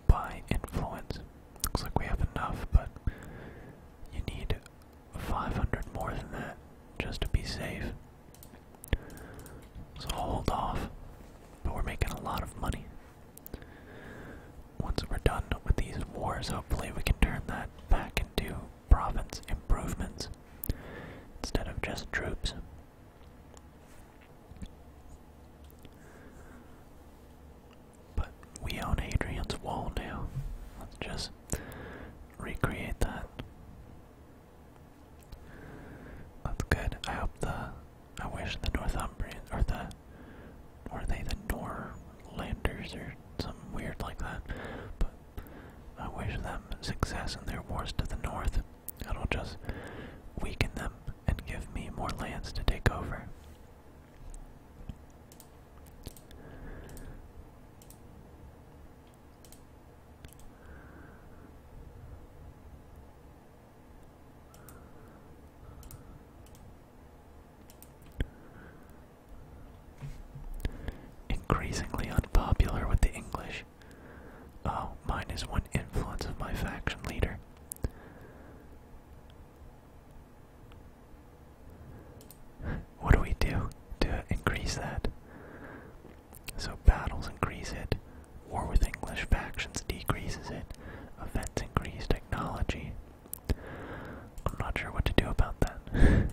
by influence. Looks like we have enough, but you need 500 more than that just to be safe. So I'll hold off, but we're making a lot of money. Once we're done with these wars, hopefully we can turn that back into province improvements instead of just troops. But we own Hadrian's Wall now. Let's just recreate that. That's good. I hope the I wish the Northumbrians or the or they the Norlanders or something weird like that. But I wish them success in their wars to the north. It'll just weaken them and give me more lands to take over. Increasingly unpopular with the English. Oh, mine is one influence of my faction leader. What do we do to increase that? So battles increase it, war with English factions decreases it, events increase technology. I'm not sure what to do about that.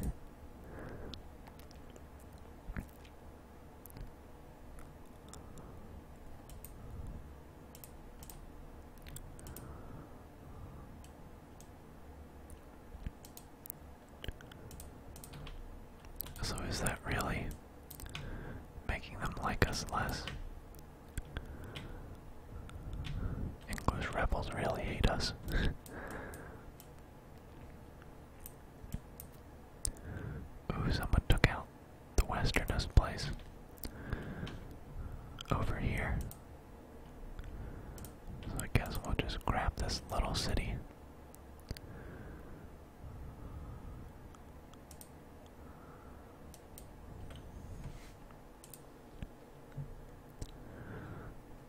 So, is that really making them like us less? English rebels really hate us. Ooh, someone took out the westernest place over here. So I guess we'll just grab this little city.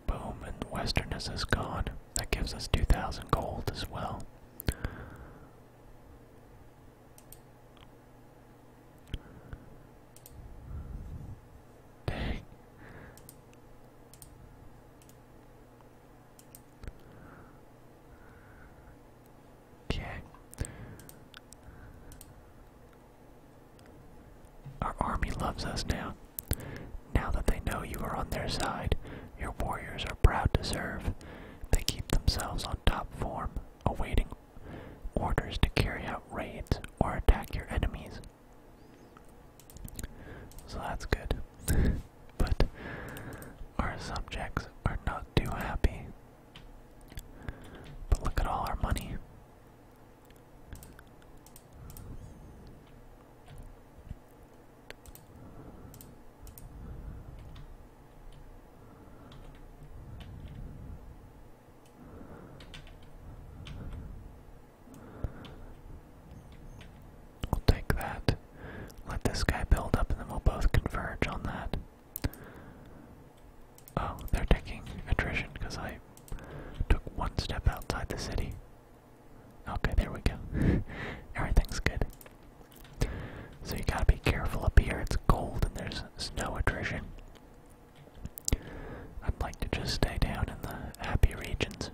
Boom, and westerness is gone. That gives us 2,000 gold as well. Dang. Okay. Our army loves us now. Now that they know you are on their side, your warriors are proud to serve. They keep themselves on top form awaiting orders to carry out raids or attack your enemies. So that's good. but our subjects are not too happy. But look at all our money. We'll take that. Let this guy build up and then we'll both converge on that. Oh, they're taking attrition because I took one step outside the city. Okay, there we go. Everything's good. So you gotta be careful up here. It's cold and there's snow attrition. I'd like to just stay down in the happy regions.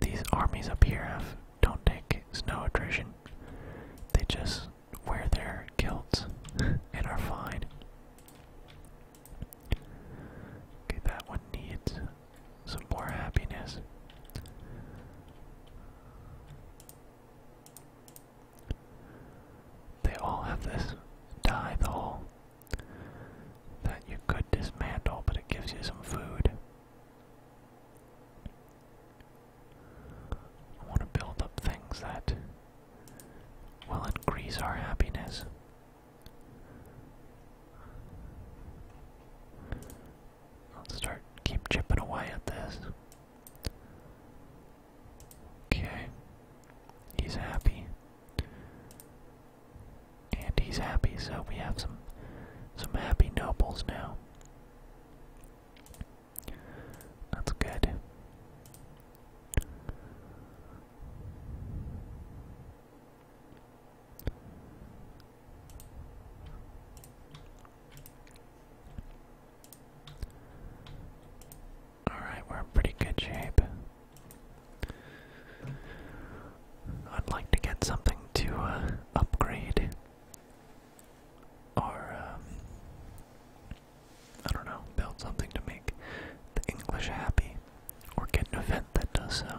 These armies up here have don't take snow attrition. They just wear their kilts and are fine. Okay, that one needs some more happiness. They all have this tie that you could dismantle, but it gives you some food. I want to build up things that will increase our happiness. Let's start, keep chipping away at this. Okay. He's happy. And he's happy, so we have some some happy nobles now. That's good. Alright, we're in pretty good shape. I'd like to get something to uh, upgrade. Or, um, I don't know, build something to make the English happy. Or get an event that does so.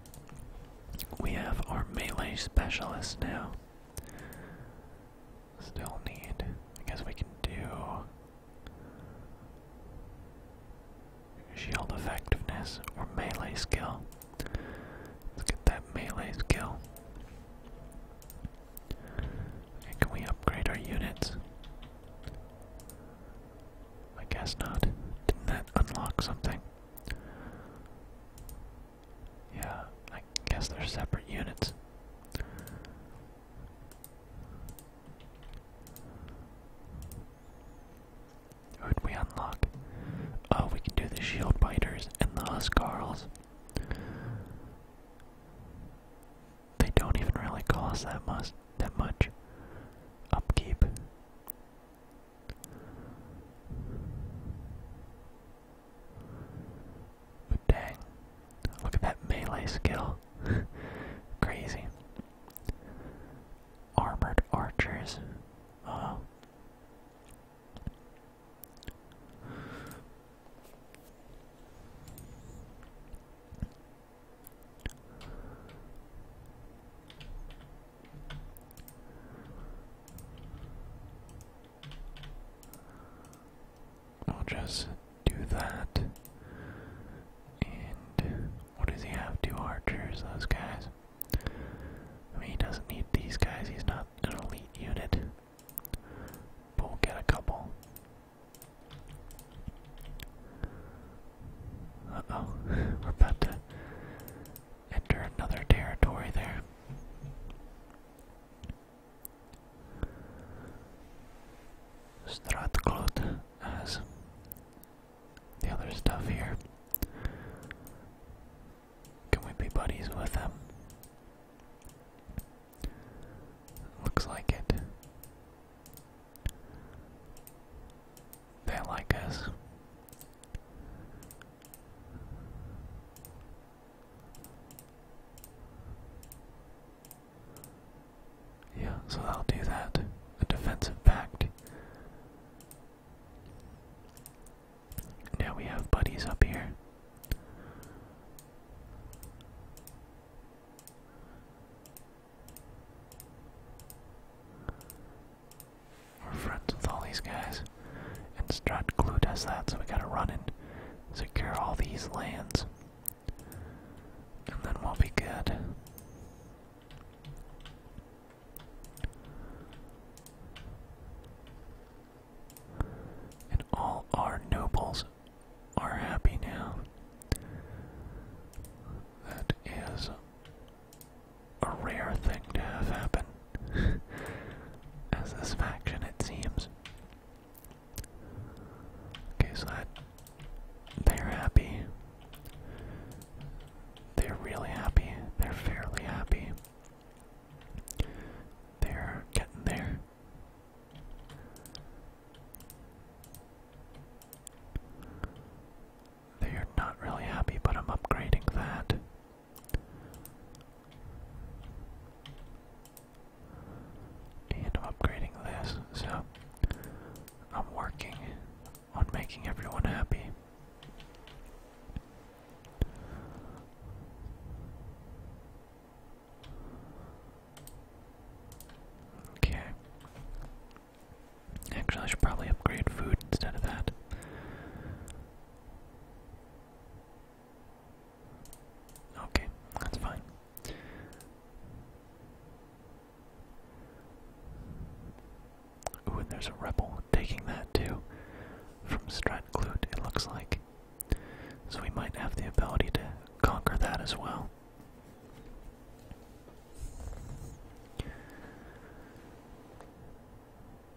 we have our melee specialist now. Still need. I guess we can do shield effectiveness or melee skill. Let's get that melee skill. can we upgrade our units? I guess not. Didn't that unlock something? Yeah, I guess they're separate units. who we unlock? Oh, we can do the shield biters and the huscarls. They don't even really cost that much that much upkeep dang, look at that melee skill. Crazy. Armored archers. Uh We'll just do that. And what does he have? Two archers, those guys. I mean, he doesn't need these guys, he's not an elite unit. But we'll get a couple. Uh oh, we're about to enter another territory there. Strathclyde has the other stuff here. Can we be buddies with them? Looks like it. They like us. Yeah, so i will do that. A defensive pact. Now we have buddies up here. We're friends with all these guys. And Stratglue does that, so we gotta run and secure all these lands. And then we'll be good. And all our nobles are happy now. That is a rare thing to have happen, as this faction it seems. Okay, so that they're happy. They're really happy. They're fairly happy. They're getting there. They are not really happy, but I'm upgrading that. And upgrading this, so I'm working on making everyone happy. Okay. Actually, I should probably upgrade food instead of that. Okay, that's fine. Ooh, and there's a rebel taking that too. From Stratclute, it looks like. So we might have the ability to conquer that as well.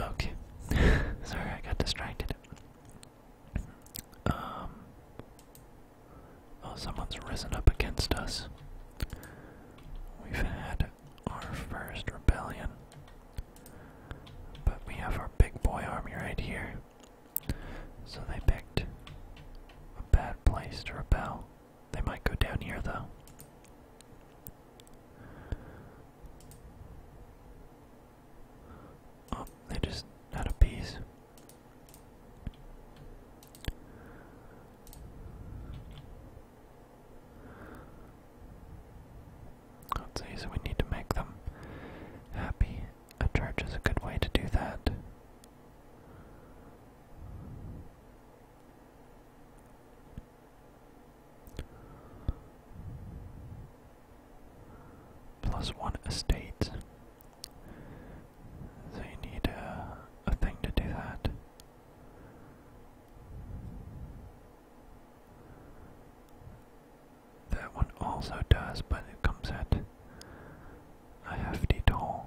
Okay. Sorry, I got distracted. Um, oh, someone's risen up against us. We've had our first rebellion. But we have our big boy army right here. So they picked a bad place to rebel. They might go down here, though. Oh, they just had a piece. Let's see, so we need to make them happy. A church is a good way to do that. Plus one estate. So you need a, uh, a thing to do that. That one also does, but it comes at a hefty toll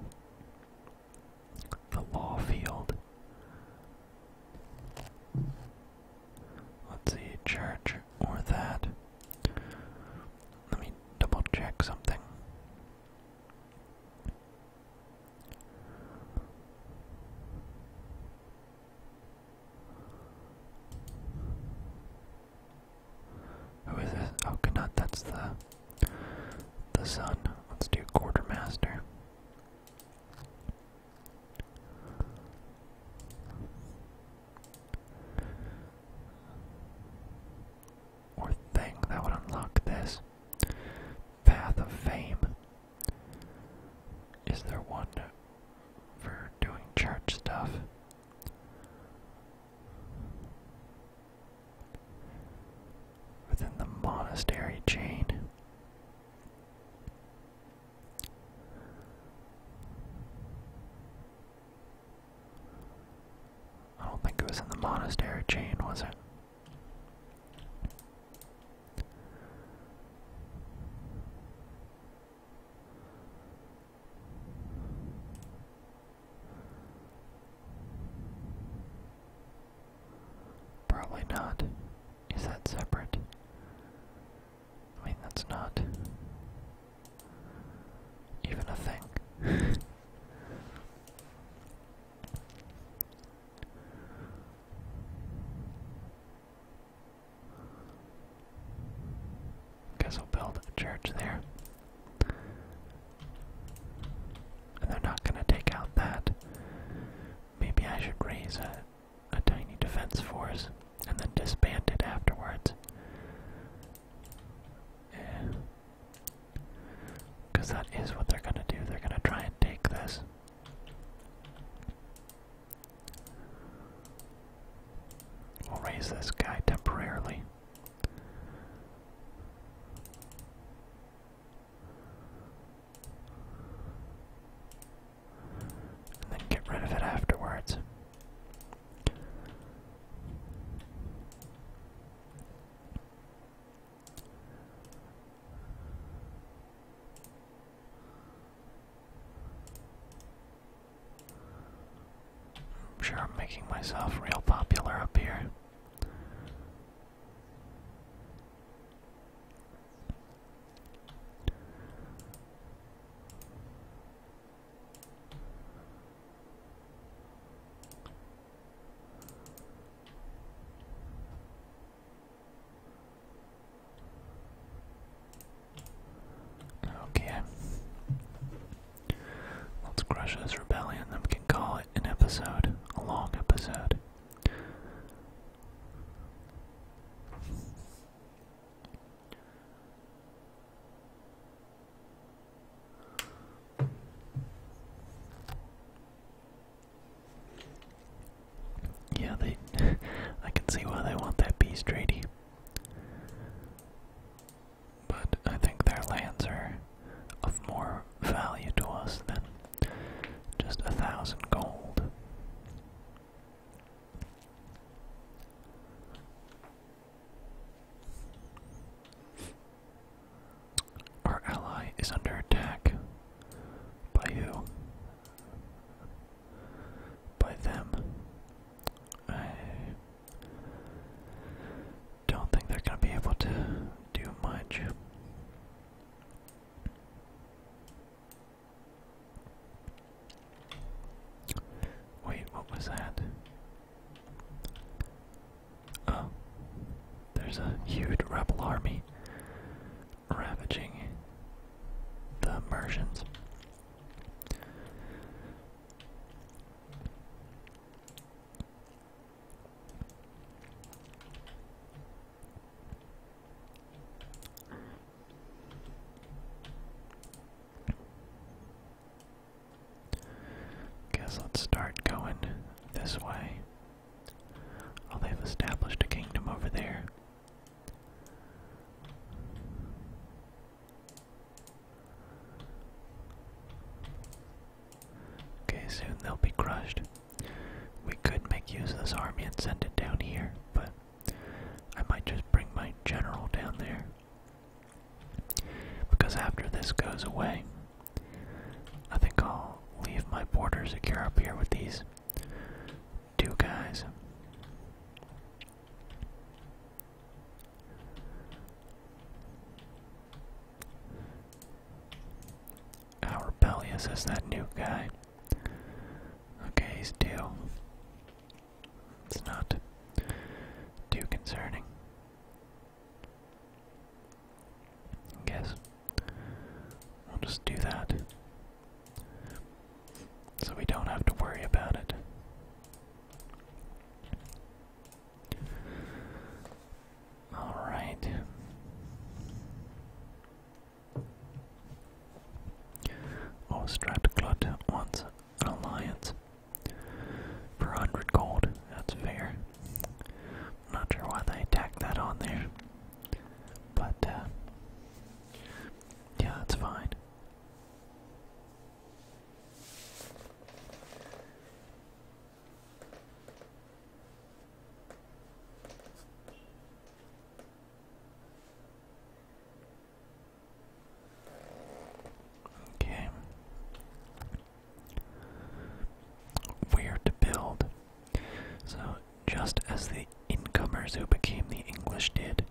the law field. Let's see, church or that. Let me double check something. Who is this? Oh, not that's the the son. Let's do quartermaster. Or thing that would unlock this. Path of Fame. Is there one for doing church stuff? within the monastery chain. I don't think it was in the monastery chain, was it? Probably not. Is that separate? I mean, that's not even a thing. Guess I'll build a church there. And they're not going to take out that Maybe I should raise a, a tiny defense force and then disband it afterwards. Because that is what they're gonna do. They're gonna try and take this. We'll raise this guy temporarily. And then get rid of it afterwards. I'm sure I'm making myself real popular up here. Okay. Let's crush this rebellion, then we can call it an episode, a long episode. Yeah, they I can see why they want that peace treaty. But I think their lands are of more value to us than just a thousand gold. Our ally is under attack. By who? By them. I don't think they're going to be able to do much. Wait, what was that? Oh, there's a huge rebel army ravaging the Mersians. Guess let's start going this way. Oh, they've established a kingdom over there. Okay, soon they'll be crushed. We could make use of this army and send it down here, but I might just bring my general down there. Because after this goes away, I think I'll leave my border secure up here with these two guys. Our rebellious is that new guy? Okay, he's two. It's not too concerning. guess we'll just do that. So we don't have to worry about it. Alright. Or Stratglut wants an alliance. For 100 gold, that's fair. not sure why they tacked that on there. But, uh, yeah, that's fine. Okay. Where to build? So, just as the incomers who became the English did,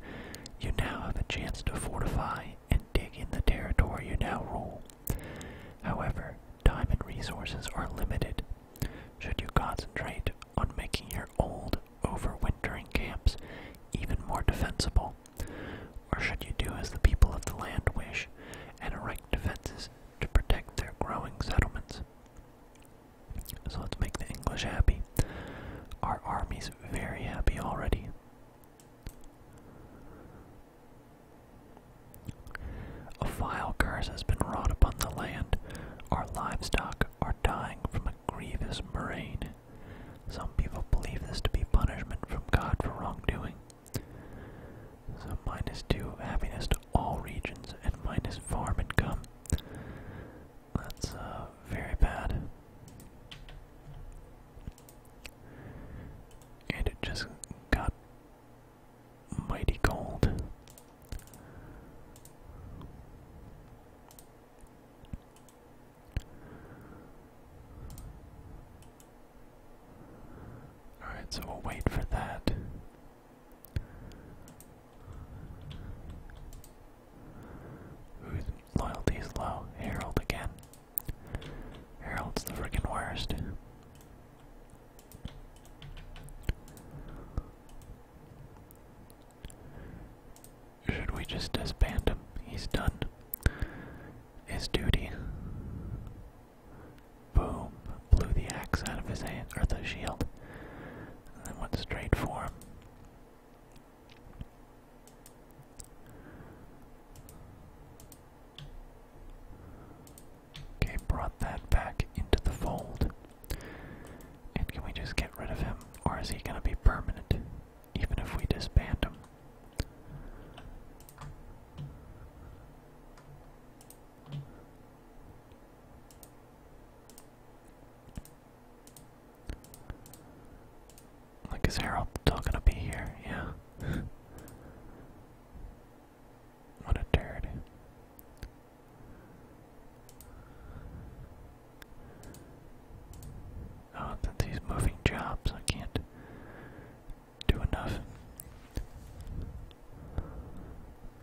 you now have a chance to fortify and dig in the territory you now rule. However, time and resources are limited should you concentrate on making your old overwintering camps even more defensible? Or should you do as the people of the land wish and erect defenses to protect their growing settlements? So let's make the English happy. Our army's very happy already. A vile curse has been wrought upon the land. Our livestock are dying from a grievous murrain. Some people believe this to be punishment from God for wrongdoing. So minus two happiness to all regions and minus farm income. That's uh, very bad. And it just got mighty cold. Alright, so we'll wait for that. Loyalty's low? Herald again. Herald's the frickin' worst. Should we just disband him? He's done his duty. Boom. Blew the axe out of his hand, or the shield, and then went straight for him. Okay, brought that back into the fold. And can we just get rid of him? Or is he gonna be permanent? Even if we disband him? Like, is Harold still gonna be here? Yeah. what a turd. Oh, since he's moving jobs, I can't do enough.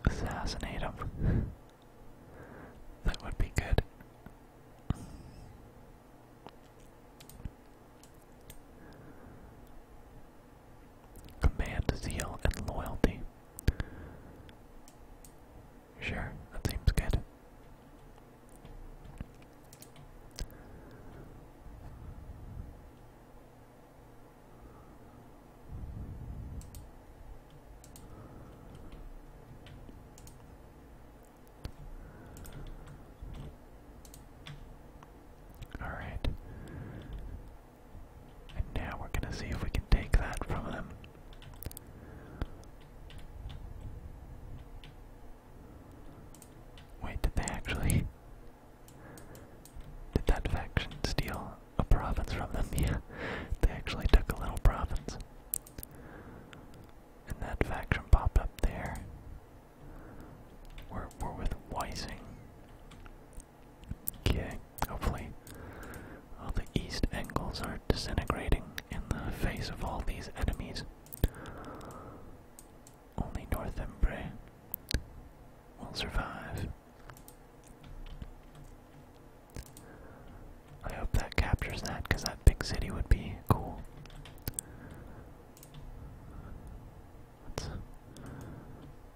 Assassinate him. that would be good. Command zeal and loyalty. Sure, that seems good. All right. And now we're going to see if we can take that from them. Wait, did they actually. Did that faction steal a province from them? Yeah, they actually took a little province. And that faction popped up there. We're, we're with Weising. Okay, hopefully all the east angles are disintegrating in the face of all these enemies. Only Northumbria will survive. I hope that captures that, because that big city would be cool.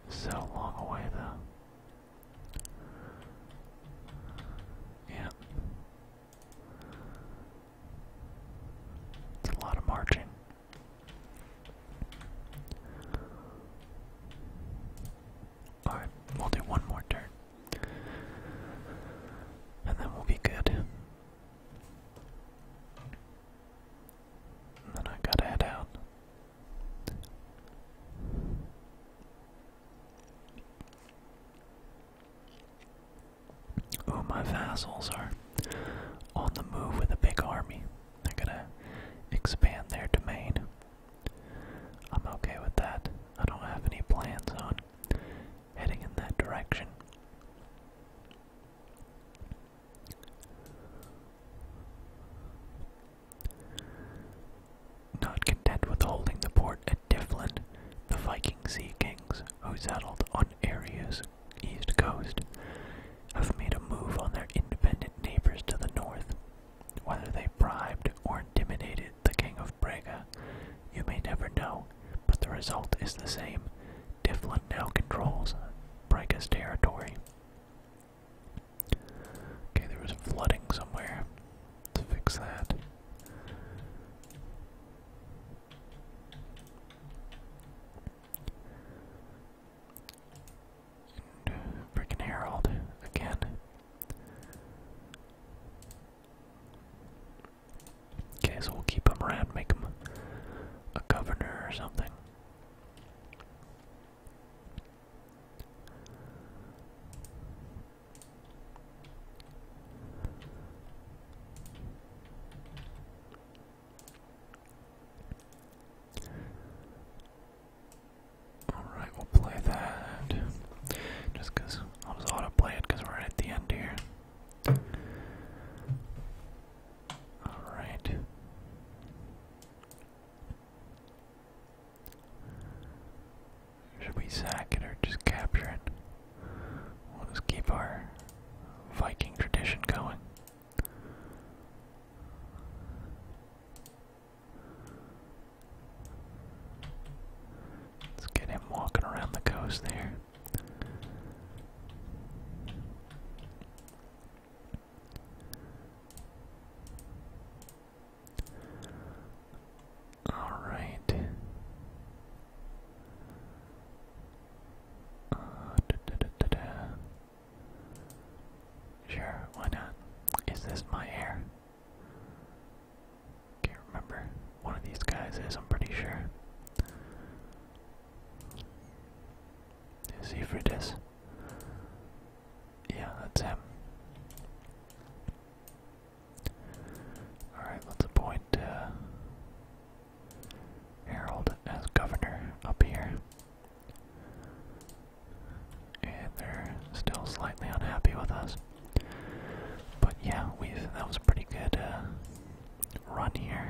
so long away, though. Yeah. It's a lot of marching. Alright, we'll do one more turn. And then we'll be good. then I gotta head out. Oh, my vassals are on the move with a big army. They're gonna expand their domain. I'm okay with that. I don't have any plans on heading in that direction. Not content with holding the port at Tiflin, the Viking sea kings, who settled on Aria's east coast, have made a move on their independent neighbors to the north. Whether they bribed or intimidated the king of Braga, you may never know, but the result is the same. Tiflin now controls Brega's territory. Okay, there was flooding somewhere. Let's fix that. freaking Harold again. Okay, so we'll keep him around, make him a governor or something. Alright, we'll play that. Just because i was auto play it because we're at the end here. Alright. Should we sack it or just capture it? We'll just keep our Viking tradition going. Let's get him walking around the coast there. All right. Uh, sure, why not? Is this my hair? Can't remember. One of these guys is, I'm pretty sure. Is he for this? Yeah, that's him. Alright, let's appoint uh, Harold as governor up here. And they're still slightly unhappy with us. But yeah, we that was a pretty good uh, run here.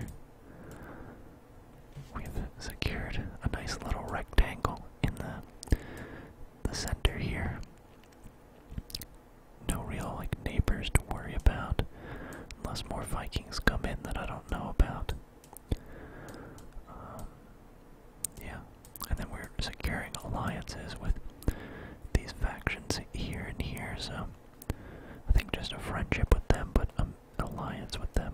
We've secured a nice little rectangle in the the center here. No real like neighbors to worry about, unless more Vikings come in that I don't know about. Um, yeah, and then we're securing alliances with these factions here and here. So I think just a friendship with them, but um, an alliance with them.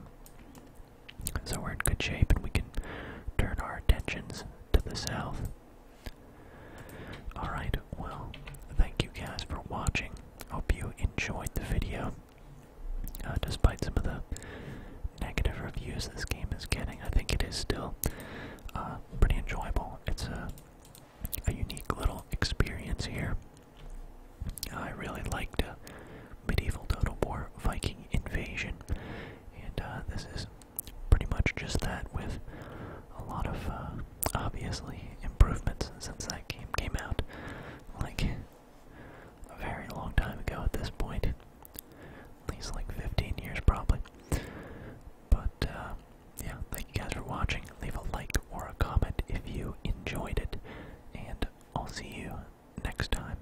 So we're in good shape, and we can turn our attentions to the south. Alright, well, thank you guys for watching. Hope you enjoyed the video. Uh, despite some of the negative reviews this game is getting, I think it is still uh, pretty enjoyable. It's a, unique little experience here. I really liked uh, Medieval Total War Viking Invasion, and this is pretty much just that with a lot of uh, obviously improvements since that game came out like a very long time ago at this point at least like 15 years probably but uh, yeah thank you guys for watching leave a like or a comment if you enjoyed it and i'll see you next time